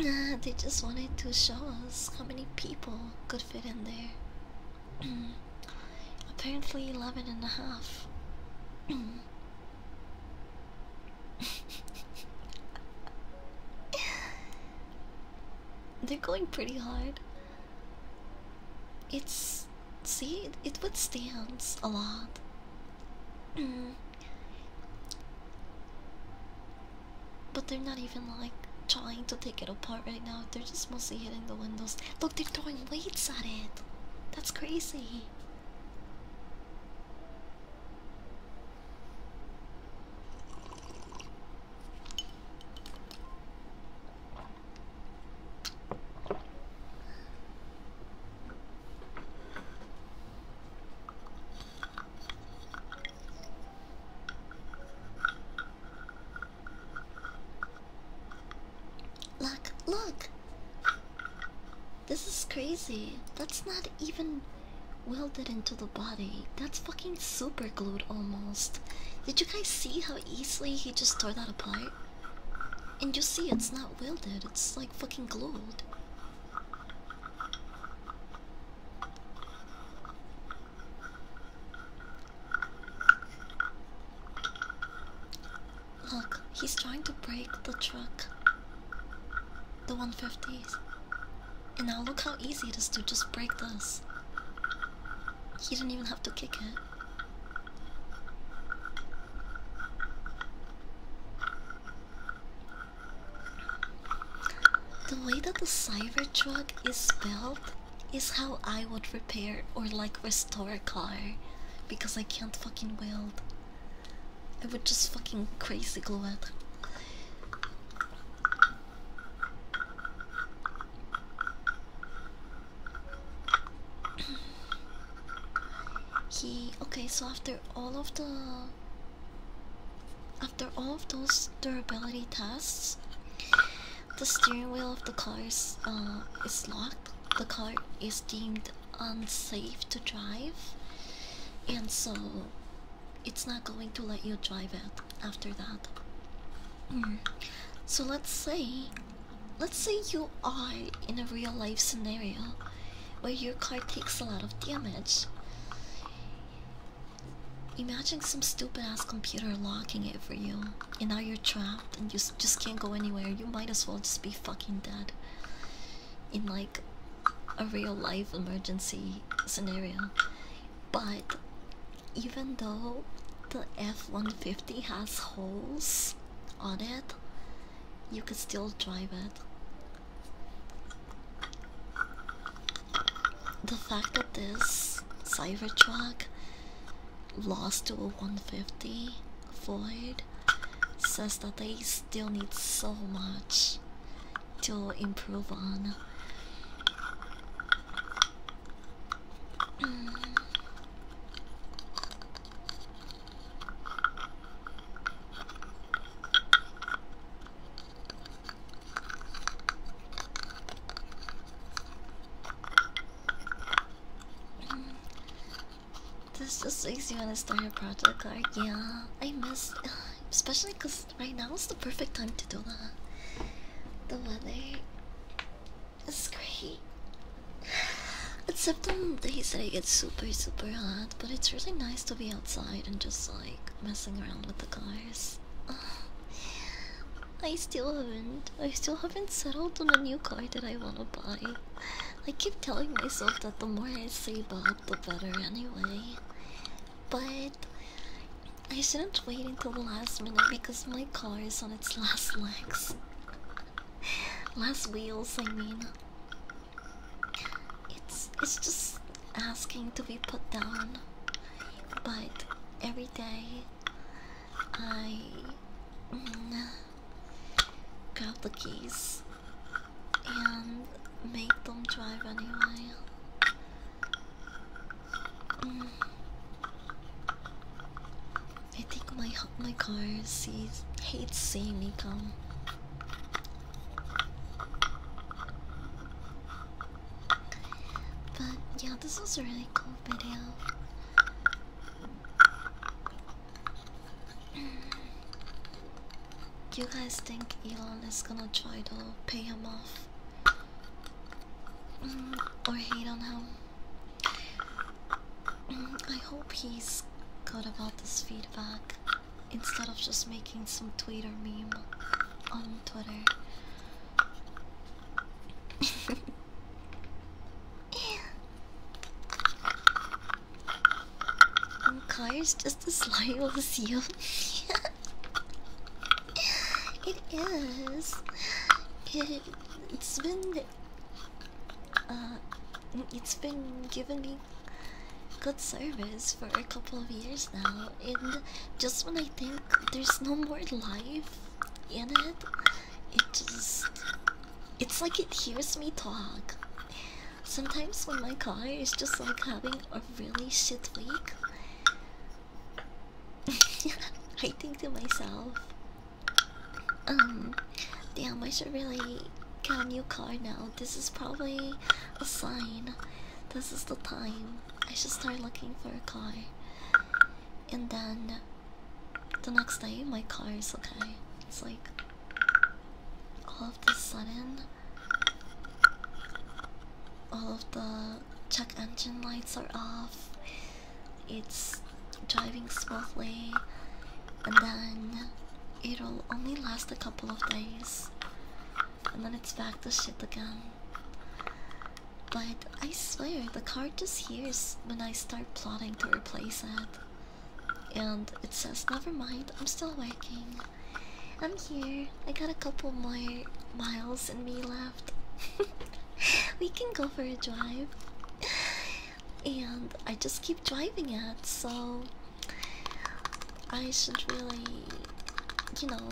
nah, they just wanted to show us how many people could fit in there. Apparently, eleven and a half. They're going pretty hard. It's see it withstands a lot. but they're not even like trying to take it apart right now. They're just mostly hitting the windows. Look, they're throwing weights at it. That's crazy. Look, look. This is crazy. That's not even welded into the body. That's fucking super glued almost. Did you guys see how easily he just tore that apart? And you see it's not welded, it's like fucking glued. Look, he's trying to break the truck. The 150s. And now look how easy it is to just break this. He didn't even have to kick it. The way that the cyber truck is built is how I would repair or like restore a car because I can't fucking weld. It would just fucking crazy glow he okay, so after all of the after all of those durability tests, the steering wheel of the car uh, is locked. The car is deemed unsafe to drive, and so it's not going to let you drive it after that. Mm. So let's say, let's say you are in a real life scenario where your car takes a lot of damage. Imagine some stupid ass computer locking it for you, and now you're trapped and you just can't go anywhere. You might as well just be fucking dead in like a real life emergency scenario. But even though the F-150 has holes on it, you could still drive it. The fact that this Cybertruck lost to a 150 Ford says that they still needs so much to improve on. This just makes you want to start a project, like yeah, I miss, especially because right now is the perfect time to do that. The weather is great, except on days that it gets super, super hot. But it's really nice to be outside and just like messing around with the cars. I still haven't, I still haven't settled on a new car that I want to buy. I keep telling myself that the more I sleep up, the better anyway. But I shouldn't wait until the last minute because my car is on its last legs. last wheels, I mean. It's it's just asking to be put down. But every day I mm, got the keys and make them drive anyway. Mm. I think my my car sees hates seeing me come. But yeah, this was a really cool video. Do you guys think Elon is gonna try to pay him off? Mm, or hate on him? Mm, I hope he's good about this feedback instead of just making some tweet or meme on Twitter. And is just a of slight seal. it is. It, it's been. Uh, mm, it's been giving me good service for a couple of years now, and just when I think there's no more life in it, it just. It's like it hears me talk. Sometimes when my car is just like having a really shit week, I think to myself, um, damn, I should really get a new car now. This is probably a sign. This is the time I should start looking for a car. And then the next day, my car is okay. It's like all of a sudden, all of the check engine lights are off. It's driving smoothly, and then it'll only last a couple of days, and then it's back to shit again. But I swear, the car just hears when I start plotting to replace it. And it says, never mind, I'm still working. I'm here. I got a couple more miles in me left. we can go for a drive. And I just keep driving it, so I should really, you know,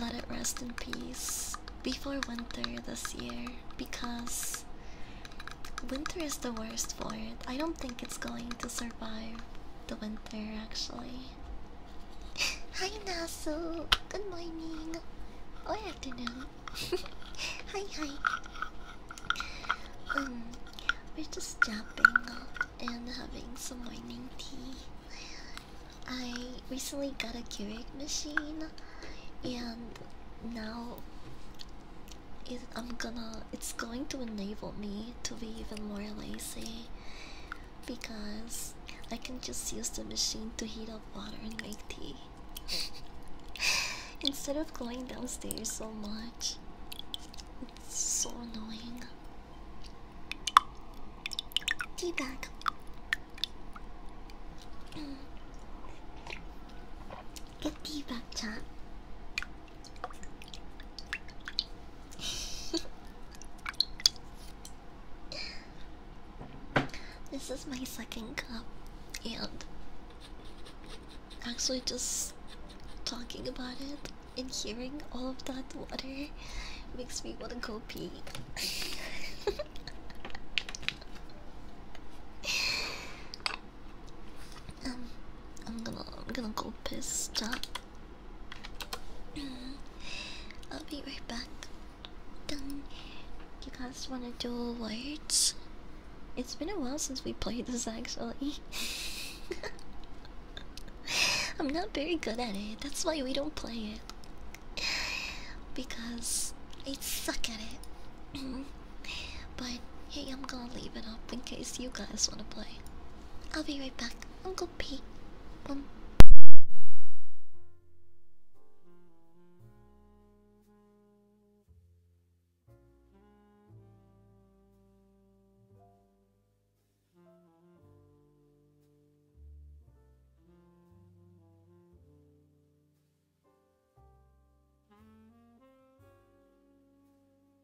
let it rest in peace before winter this year because winter is the worst for it. I don't think it's going to survive the winter actually. Hi Nasu, good morning or oh, afternoon. hi hi. Um, we're just jumping up and having some morning tea. I recently got a Keurig machine, and now it, I'm gonna it's going to enable me to be even more lazy because I can just use the machine to heat up water and make tea instead of going downstairs so much. It's so annoying. Tea bag. Get tea bag, chat. this is my second cup, and actually, just talking about it and hearing all of that water makes me want to go pee. Um, I'm gonna, I'm gonna go piss. Stop. Uh, I'll be right back. Done. You guys wanna do words? It's been a while since we played this actually. I'm not very good at it. That's why we don't play it. Because I suck at it. but hey, I'm gonna leave it up in case you guys wanna play. I'll be right back. Uncle Pete. Um.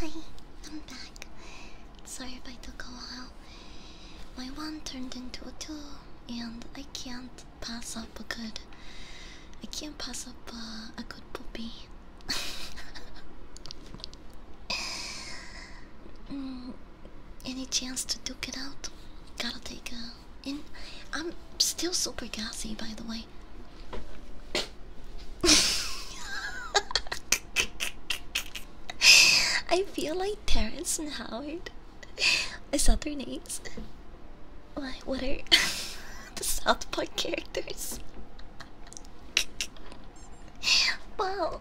Hi, I'm back. Sorry if I took a while. My one turned into a two, and I can't pass up a good. I can't pass up a good puppy. Mm, any chance to duke it out? Gotta take a. In, I'm still super gassy, by the way. I feel like Terrence and Howard. I saw their names? Why? What are the South Park characters? wow.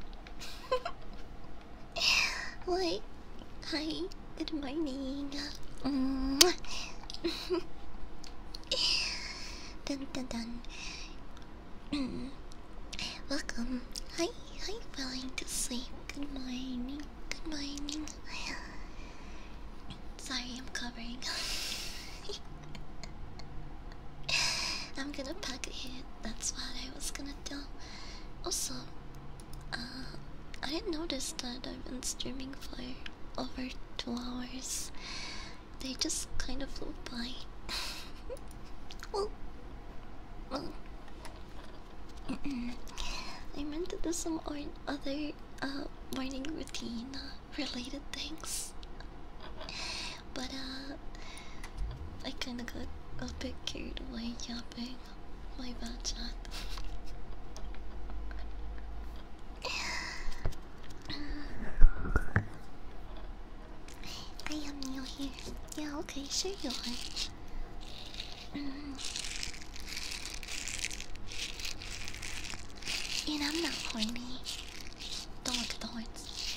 like, hi, good morning. Mm. dun dun dun. Welcome. Hi, hi, falling to sleep. Good morning. Good morning. Sorry, I'm covering. I'm gonna pack it. hit, that's what I was gonna do. Also, uh, I didn't notice that I've been streaming for over two hours. They just kind of flew by. well, well. I meant to do some or other uh, morning routine uh, related things. But uh, I kinda got a bit carried away yapping. My bad chat. I am new here. Yeah, okay, sure you are. and I'm not horny. Dog darts.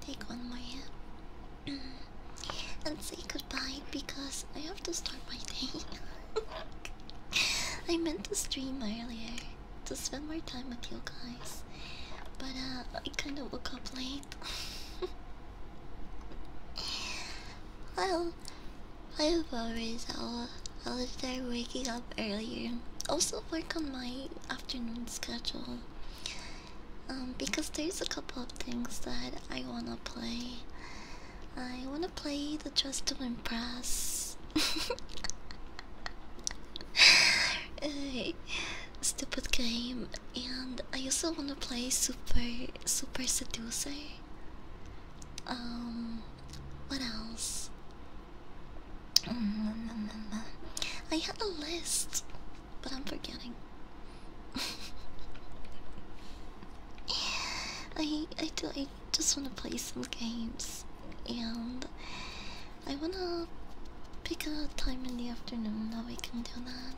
Take on my hand and say goodbye because I have to start my day. I meant to stream earlier to spend more time with you guys, but uh, I kind of woke up late. well, I apologize. I I'll there waking up earlier. Also, work on my afternoon schedule um, because there's a couple of things that I want to play. I want to play the Just to Impress. Stupid game, and I also want to play Super Super Seducer. Um, what else? Mm, mm, mm, I have a list, but I'm forgetting. I I do I just want to play some games, and I wanna pick a time in the afternoon that we can do that.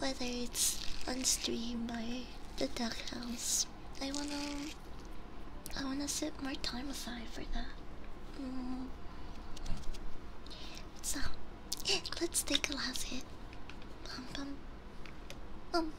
Whether it's on stream by the duck house. I wanna, I wanna set more time aside for that. Mm. So, let's take a last hit. Mm.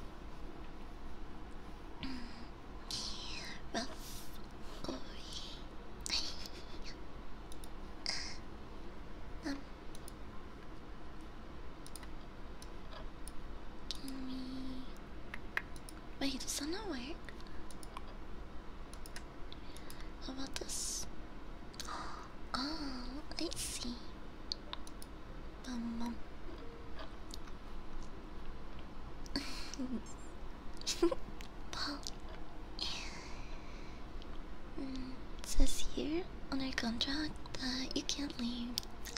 Wait, does that not work? How about this? Oh, I see. Bum, bum. well, mm, it says here under contract that you can't leave.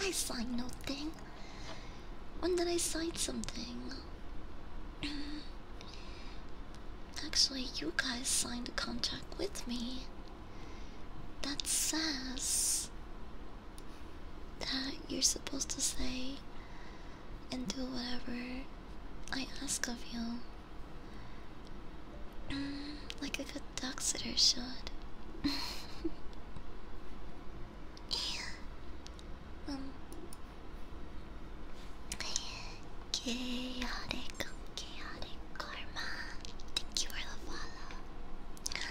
I signed nothing. When did I sign something? Actually, you guys signed a contract with me that says that you're supposed to say and do whatever I ask of you. Mm, like a good dog sitter should um, chaotic, chaotic karma. Thank you for the follow. Thank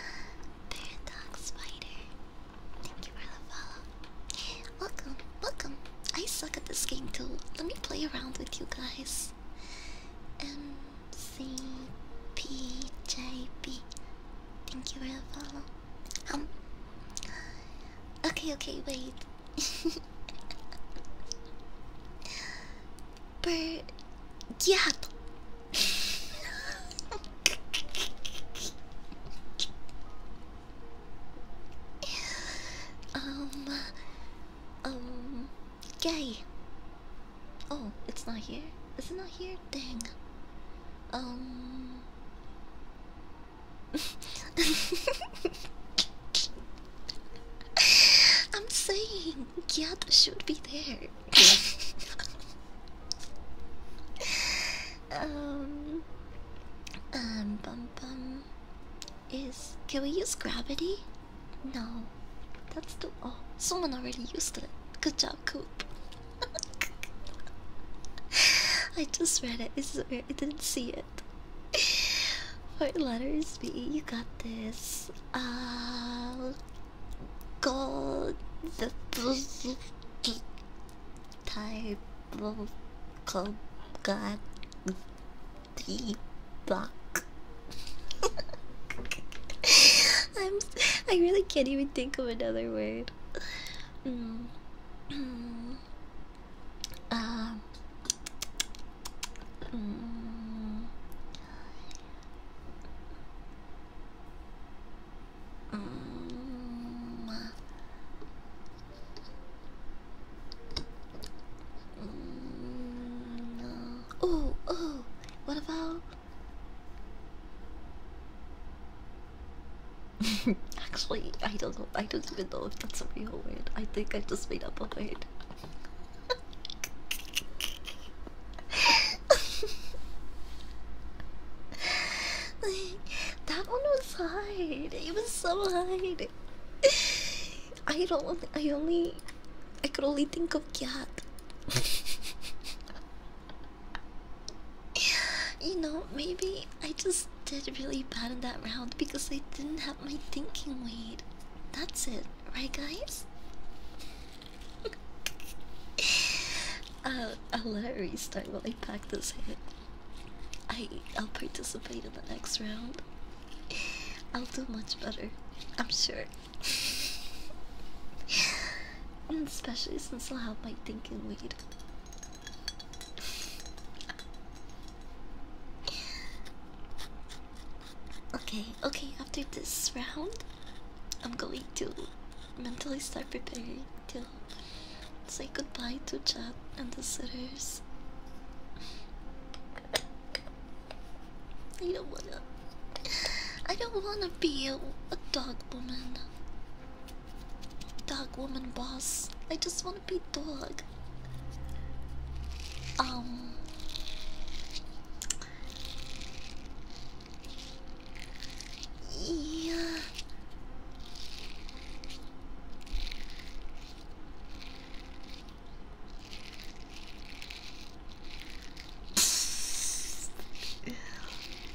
you for the follow. Welcome, welcome. I suck at this game too. Let me play around with you guys. M C P J B Thank you for the follow. Um. Okay, okay, wait. But yeah. um. Um. Gay. Oh, it's not here. It's not here? Dang. Um. I'm saying Gyat should be there. um, um, bum bum. Is can we use gravity? No, that's too. Oh, someone already used it. Good job, Coop. I just read it. I where I didn't see it. For letters B, you got this. Uh, gold type of god block. I'm I really can't even think of another word. Mm. Um, mm. Uh. Mm. Mm. Oh, oh, what about Actually, I don't I don't even know if that's a real word. I think I just made up a word. that one was hard. It was so hard. I don't. I only. I could only think of cat. you know, maybe I just did really bad in that round because I didn't have my thinking weight. That's it, right, guys? uh, I'll let it restart while pack this hit. I, I'll participate in the next round. I'll do much better, I'm sure. And mm, especially since I'll have my thinking weed. okay, okay, after this round, I'm going to mentally start preparing to say goodbye to Chad and the sitters. I don't wanna. I don't wanna be a dog woman. Dog woman boss. I just want to be dog. Um. Yeah.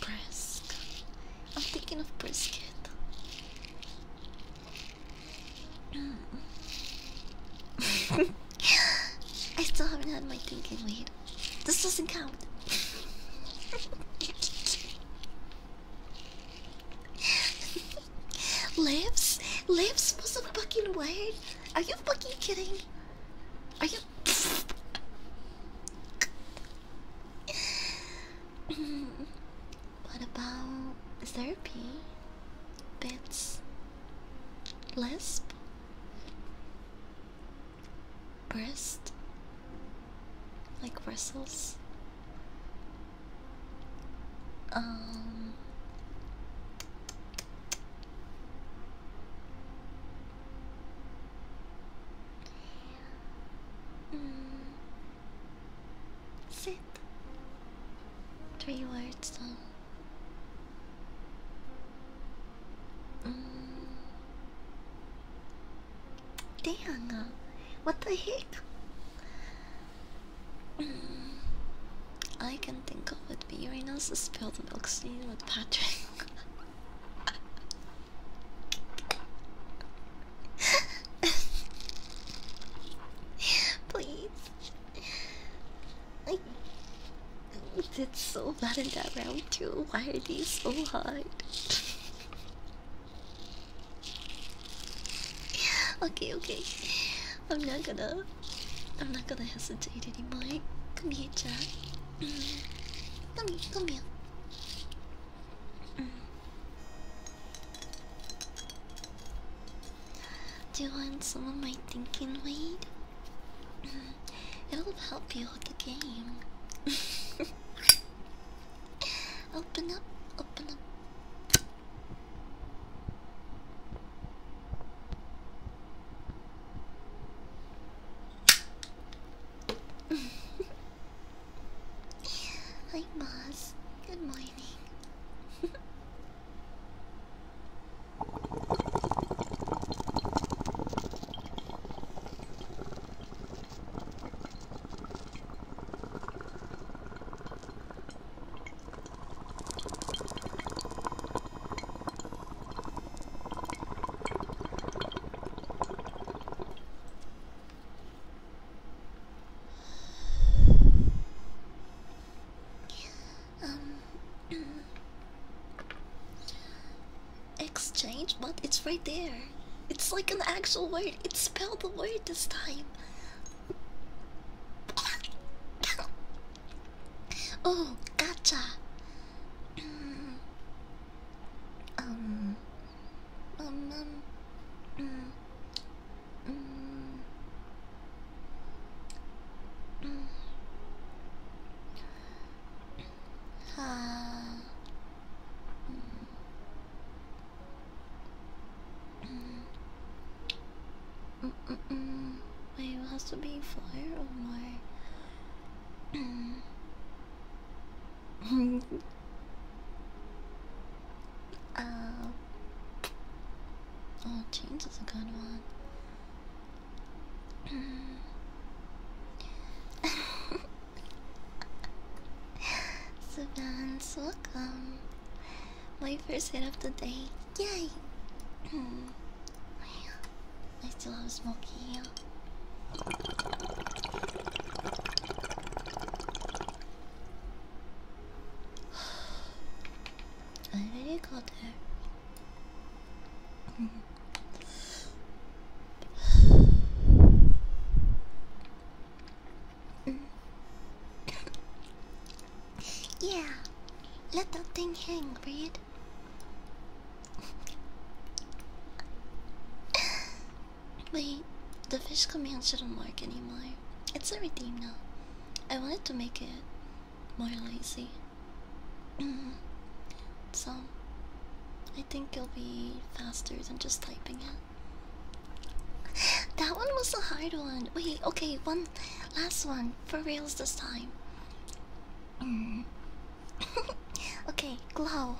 Brisk. I'm thinking of brisket. Mm. I still haven't had my thinking weed. This doesn't count. Lips? Lips was a fucking word? Are you fucking kidding? Are you what about therapy? Bits? Lisp? Breast? Like bristles? Um. Mm. Sit. Three words though. Um, um, dang, uh, what the heck? Mm. I can think of it, but Uranus spilled milk scene with Patrick. Please. I did so bad in that round too. Why are these so hard? okay, okay. I'm not gonna I'm not gonna hesitate anymore. Come here, Jack. Come here, come here. Do you want some of my thinking weed? It'll help you with the game. open up, open up. Hi, boss. Good morning. Um, exchange, but it's right there. It's like an actual word. It spelled the word this time. oh, gotcha um, um, um, um, um, um. Ah. Mm -mm -mm. Wait, it has to be fire or more? uh, oh, change is a good one. Savans, welcome. My first hit of the day. Yay! I still have Smokey here. I already got her. yeah, let thing hang, Wait, the fish command shouldn't work anymore. It's a redeem now. I wanted to make it more lazy. Mm-hmm. so, I think it'll be faster than just typing it. that one was a hard one. Wait, okay, one last one. For reals this time. Mm-hmm. okay, glow.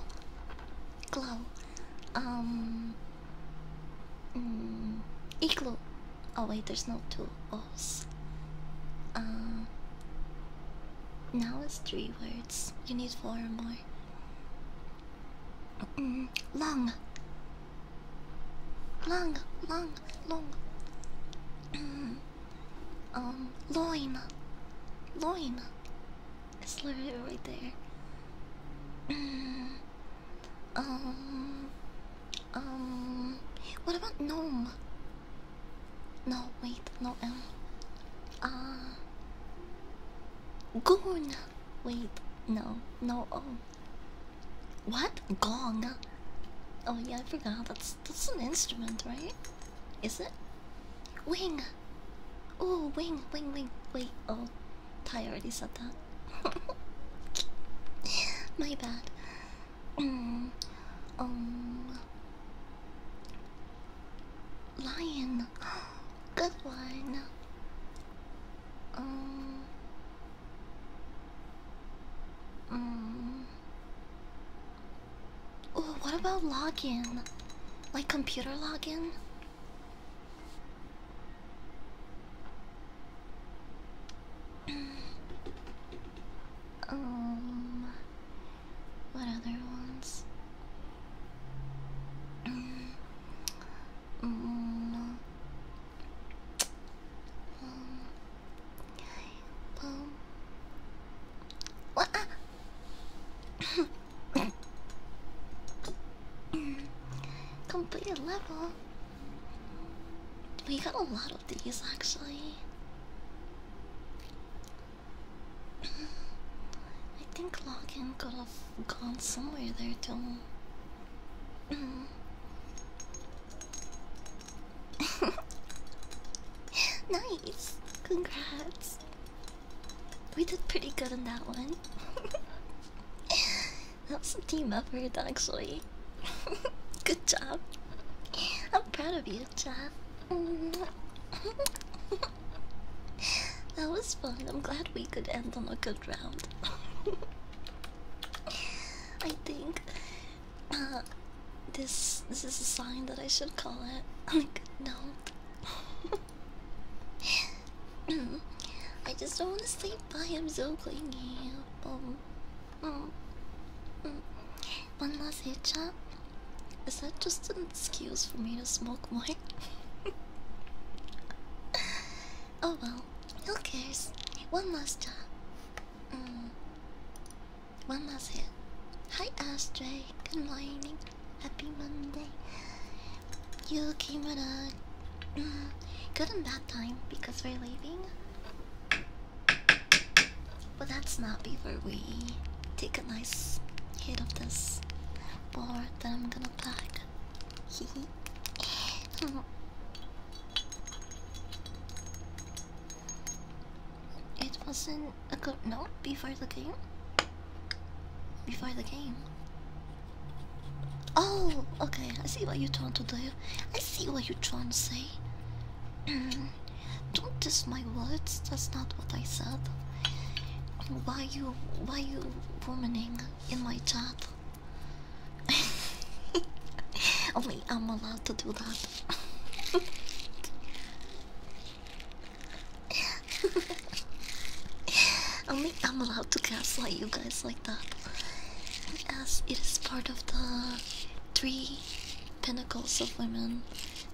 Glow. Um. Mm, igloo. Oh, wait, there's no two O's. Um. now it's three words. You need four more. Mm, long. Long, long, long. Um, loin. Loin. It's literally right there. um, um, what about gnome? No, wait, no M. Um, uh, goon. Wait, no, no O. Oh. What? Gong. Oh yeah, I forgot. That's that's an instrument, right? Is it? Wing. Oh, wing, wing, wing. Wait. Oh, Ty already said that. My bad. Um. Um. Lion. Good one. Um. Mm. Oh, what about login? Like computer login? um, what other ones? um, um, um, well, Completed level. We got a lot of these actually. I think Login could have gone somewhere there too. nice. Congrats! We did pretty good on that one. that was a team effort, actually. good job. I'm proud of you, Jeff. that was fun. I'm glad we could end on a good round. I think. Uh, this this is a sign that I should call it. Oh my god, no. I just don't want to sleep I'm so clingy. Um, um, um. One last hit chat. Is that just an excuse for me to smoke more? oh well, who cares? One last time. One last hit. Hi Astray, good morning. Happy Monday. You came at a mm, good and bad time because we're leaving. But that's not before we take a nice hit of this board that I'm gonna pack. It wasn't a good note before the game. Before the game. Oh, okay. I see what you're trying to do. I see what you're trying to say. Don't diss my words. That's not what I said. Why you? Why you womaning in my chat? Only I'm allowed to do that. Only I'm allowed to gaslight you guys like that. As it is part of the three pinnacles of women,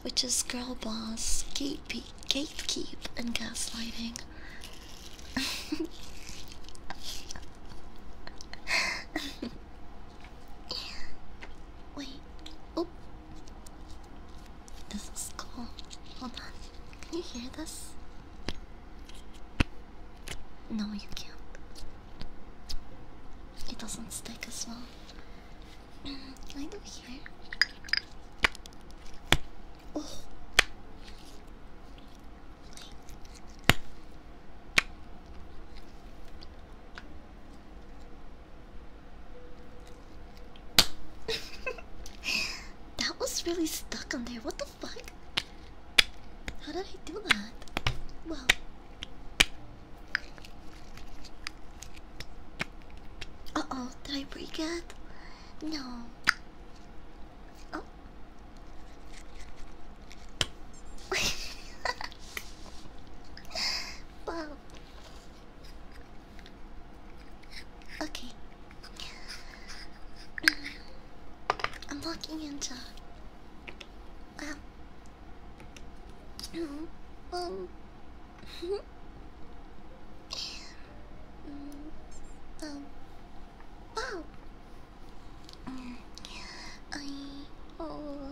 which is girl boss, gatekeep, gatekeep and gaslighting. Wait. Oh, this is cool. Hold on. Can you hear this? No, you can't. It doesn't stick as well. Can I do here? Oh. that was really stuck on there. What the fuck? How did I do that? Well. Uh oh, did I break it? No. Oh. wow. Okay. I'm walking into. Wow. Um. um um, wow. I oh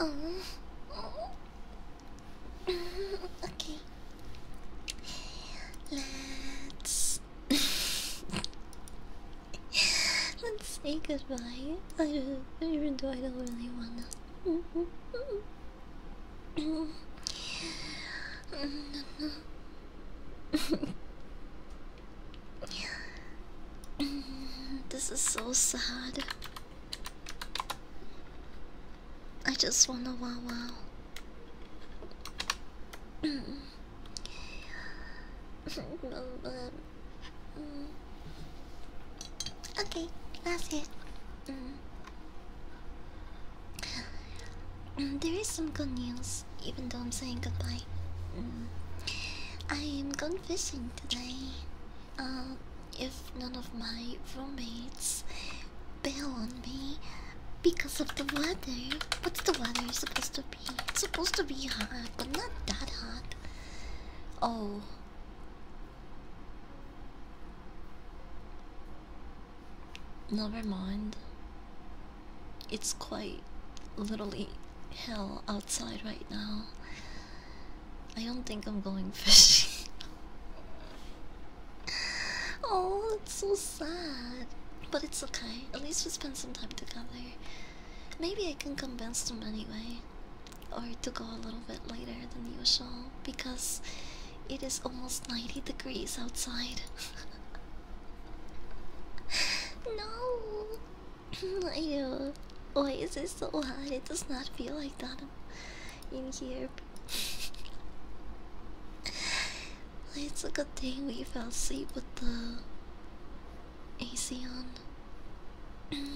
Oh. okay. Let's Let's say goodbye. I just, even though I don't really wanna. this is so sad. I just wanna wow wow. okay, that's it. Mm. Mm, there is some good news, even though I'm saying goodbye. Mm. I am going fishing today. Uh, if none of my roommates bail on me because of the weather, what's the weather supposed to it's supposed to be hot, but not that hot. Oh. Never mind. It's quite literally hell outside right now. I don't think I'm going fishing. oh, it's so sad. But it's okay. At least we spend some time together. Maybe I can convince them anyway, or to go a little bit later than usual because it is almost 90 degrees outside. no! Ew. Why is it so hot? It does not feel like that in here. it's a good thing we fell asleep with the AC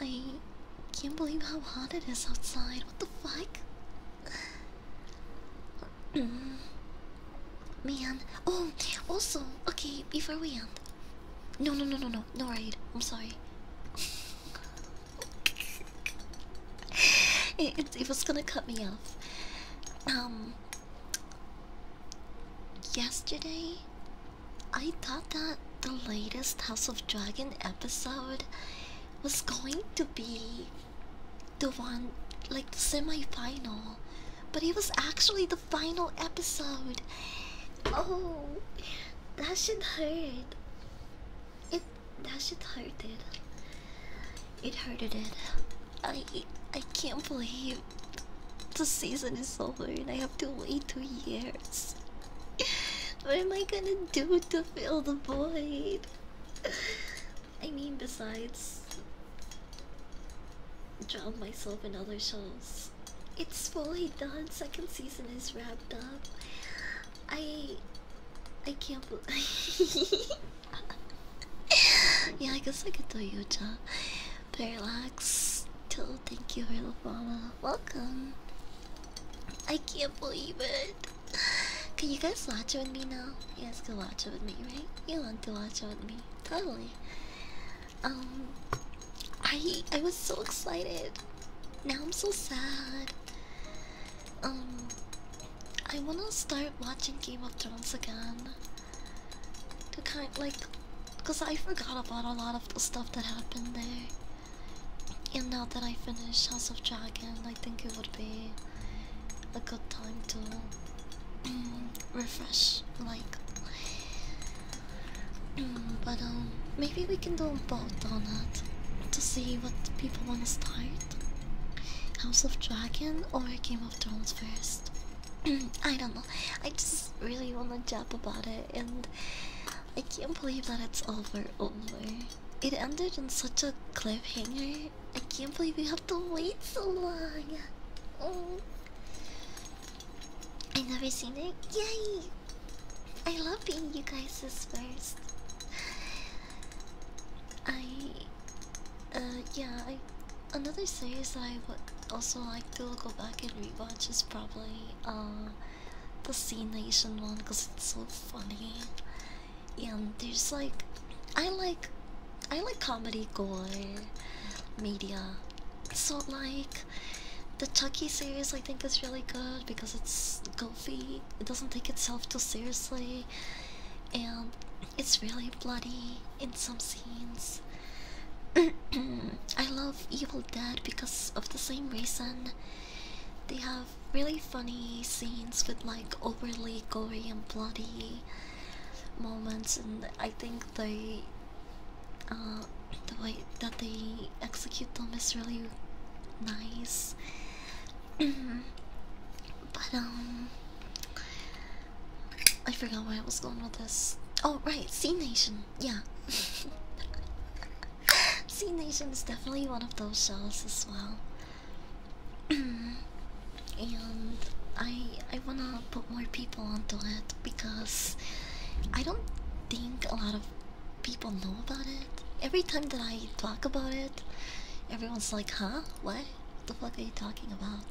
I can't believe how hot it is outside. What the fuck? Man. Oh, also, okay, before we end. No, no, no, no, no, no raid. I'm sorry. it, it, was gonna cut me off. Um, yesterday, I thought that the latest House of Dragon episode was going to be the one, like the semifinal, but it was actually the final episode. Oh, that should hurt. It that should hurt it. It hurted it. I I can't believe the season is over and I have to wait two years. What am I gonna do to fill the void? I mean, besides drown myself in other shows. It's fully done. Second season is wrapped up. I, I can't believe. yeah, I guess I could do Yuja. Parallax, till thank you for the follow. Welcome. I can't believe it. Can you guys watch it with me now? Yes, guys watch it with me, right? You want to watch it with me? Totally. Um, I I was so excited. Now I'm so sad. Um, I wanna start watching Game of Thrones again to kind like because I forgot about a lot of the stuff that happened there. And now that I finish House of Dragon, I think it would be a good time to mm, refresh like mm, but um maybe we can do both on that to see what people wanna start. House of Dragon or Game of Thrones first. I don't know. I just really want to jab about it, and I can't believe that it's over. Over. It ended in such a cliffhanger. I can't believe we have to wait so long. Oh. I never seen it. Yay! I love being you guys' first. I, uh, yeah, another series that I would also like to go back and rewatch is probably uh, the C Nation one because it's so funny. And there's like, I like, I like comedy gore media. So like, the Chucky series I think is really good because it's goofy. It doesn't take itself too seriously, and it's really bloody in some I love Evil Dead because of the same reason. They have really funny scenes with like overly gory and bloody moments, and I think they, uh, the way that they execute them is really nice. but um, I forgot where I was going with this. Oh, right, Sea Nation. Yeah. Sea Nation is definitely one of those shows as well. and I I wanna put more people onto it because I don't think a lot of people know about it. Every time that I talk about it, everyone's like, huh? What? What the fuck are you talking about?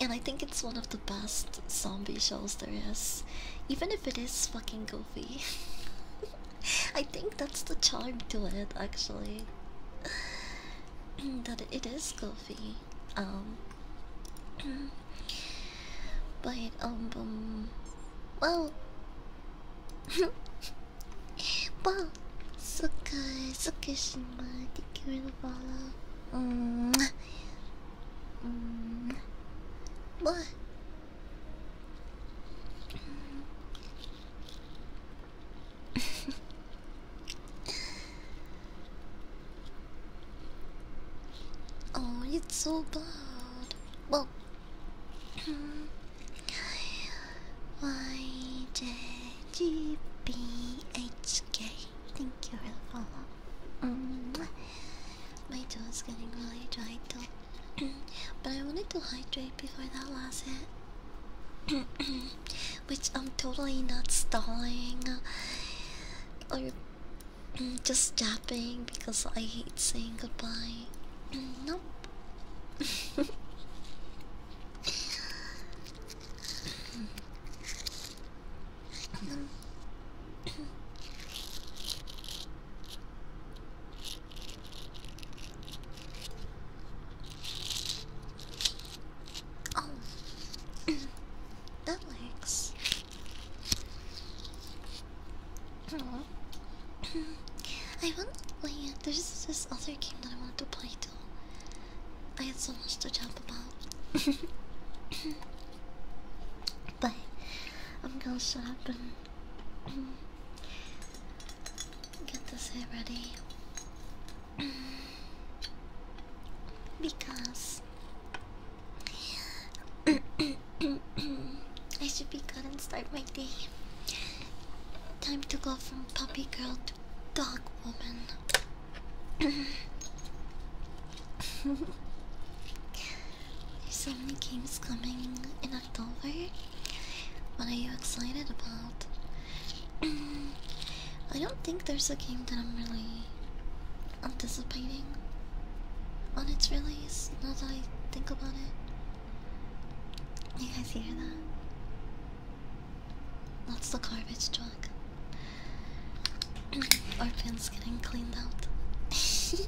And I think it's one of the best zombie shows there is. Even if it is fucking goofy. I think that's the charm to it actually. that it is goofy. Um but um, um well well so good so good thank you for the follow うんまあ Oh, it's so bad. Well, why did you be HK? Thank you for the follow. Um, my jaw is getting really dry too. but I wanted to hydrate before that last hit. Which I'm totally not stalling or mm, just japping because I hate saying goodbye. Nope. oh, that works. Oh. I want. Wait, yeah, there's this other game that I wanted to play too. I had so much to talk about. But I'm gonna shut up and get this hair ready because I should be good and start my day. Time to go from puppy girl to dog woman. There's so many games coming in October. What are you excited about? I don't think there's a game that I'm really anticipating on its release, now that I think about it. You guys hear that? That's the garbage truck. Our pin's getting cleaned out.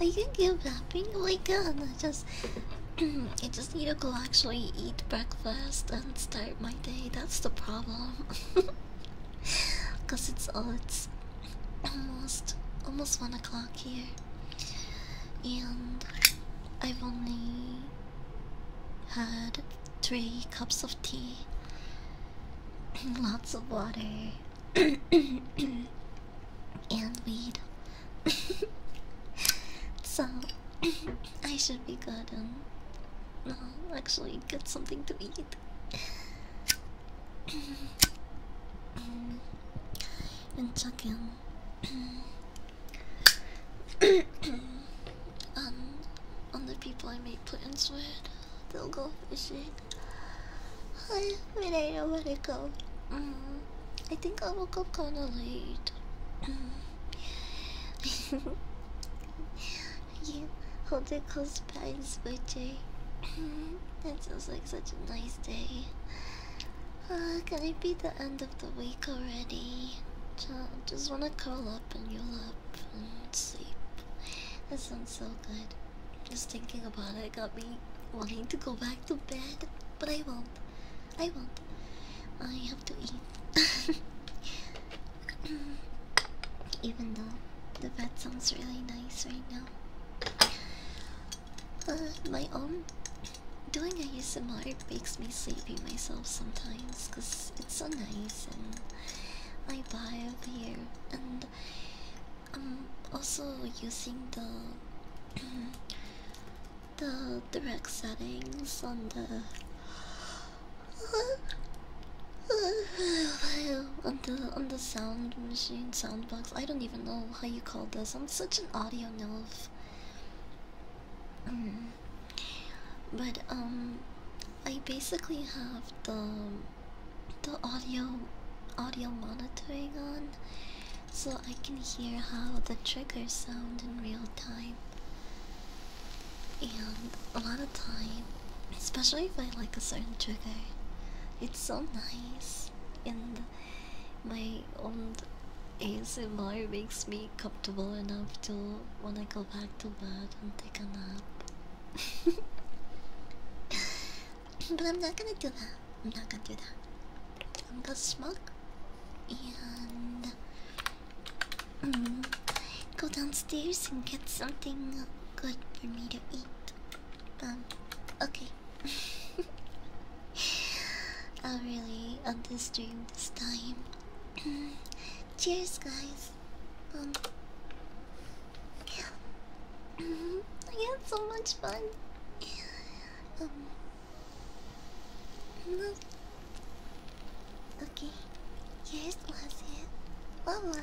I can keep napping. Oh my god, I just I just need to go actually eat breakfast and start my day. That's the problem. Cause it's oh, it's almost almost one o'clock here. And I've only had three cups of tea and lots of water and weed. so I should be good and no, actually get something to eat. and check in and um, on the people I make in with. They'll go fishing. I mean, I don't want to go. Mm, I think I woke up kind of late. Mm. you hold it close by and switch that sounds like such a nice day. Uh, can it be the end of the week already? Just wanna curl up in your lap sleep. That sounds so good. Just thinking about it got me wanting to go back to bed, but I won't. I won't. I have to eat. Even though the bed sounds really nice right now. Uh, my own doing a ASMR makes me sleepy myself sometimes because it's so nice and I buy up here, and I'm um, also using the the direct settings on the on the on the sound machine sound box. I don't even know how you call this. I'm such an audio nerve. Mm. But um, I basically have the the audio audio monitoring on, so I can hear how the triggers sound in real time. And a lot of time, especially if I like a certain trigger, it's so nice. And my own ASMR makes me comfortable enough to when I go back to bed and but I'm not gonna do that. I'm not gonna do that. I'm gonna smoke and mm, go downstairs and get something good for me to eat. Um, okay. I'll really on this stream this time. Cheers, guys. Um, yeah. Mm-hmm. I had so much fun. Um, Okay. Here's was it. Mama.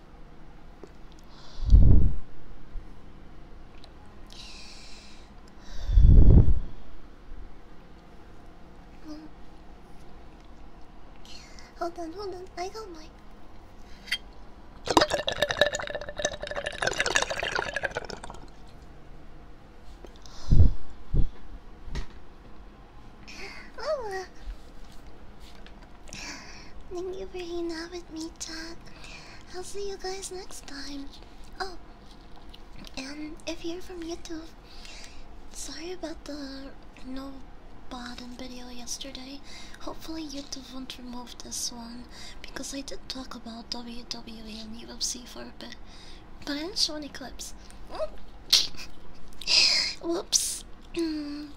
Hold on, hold on, I got mine. Thank you for hanging out with me, chat. I'll see you guys next time. Oh, and if you're from YouTube, sorry about the no bottom video yesterday. Hopefully, YouTube won't remove this one because I did talk about WWE and UFC for a bit, but I didn't show any clips. Whoops. Mm.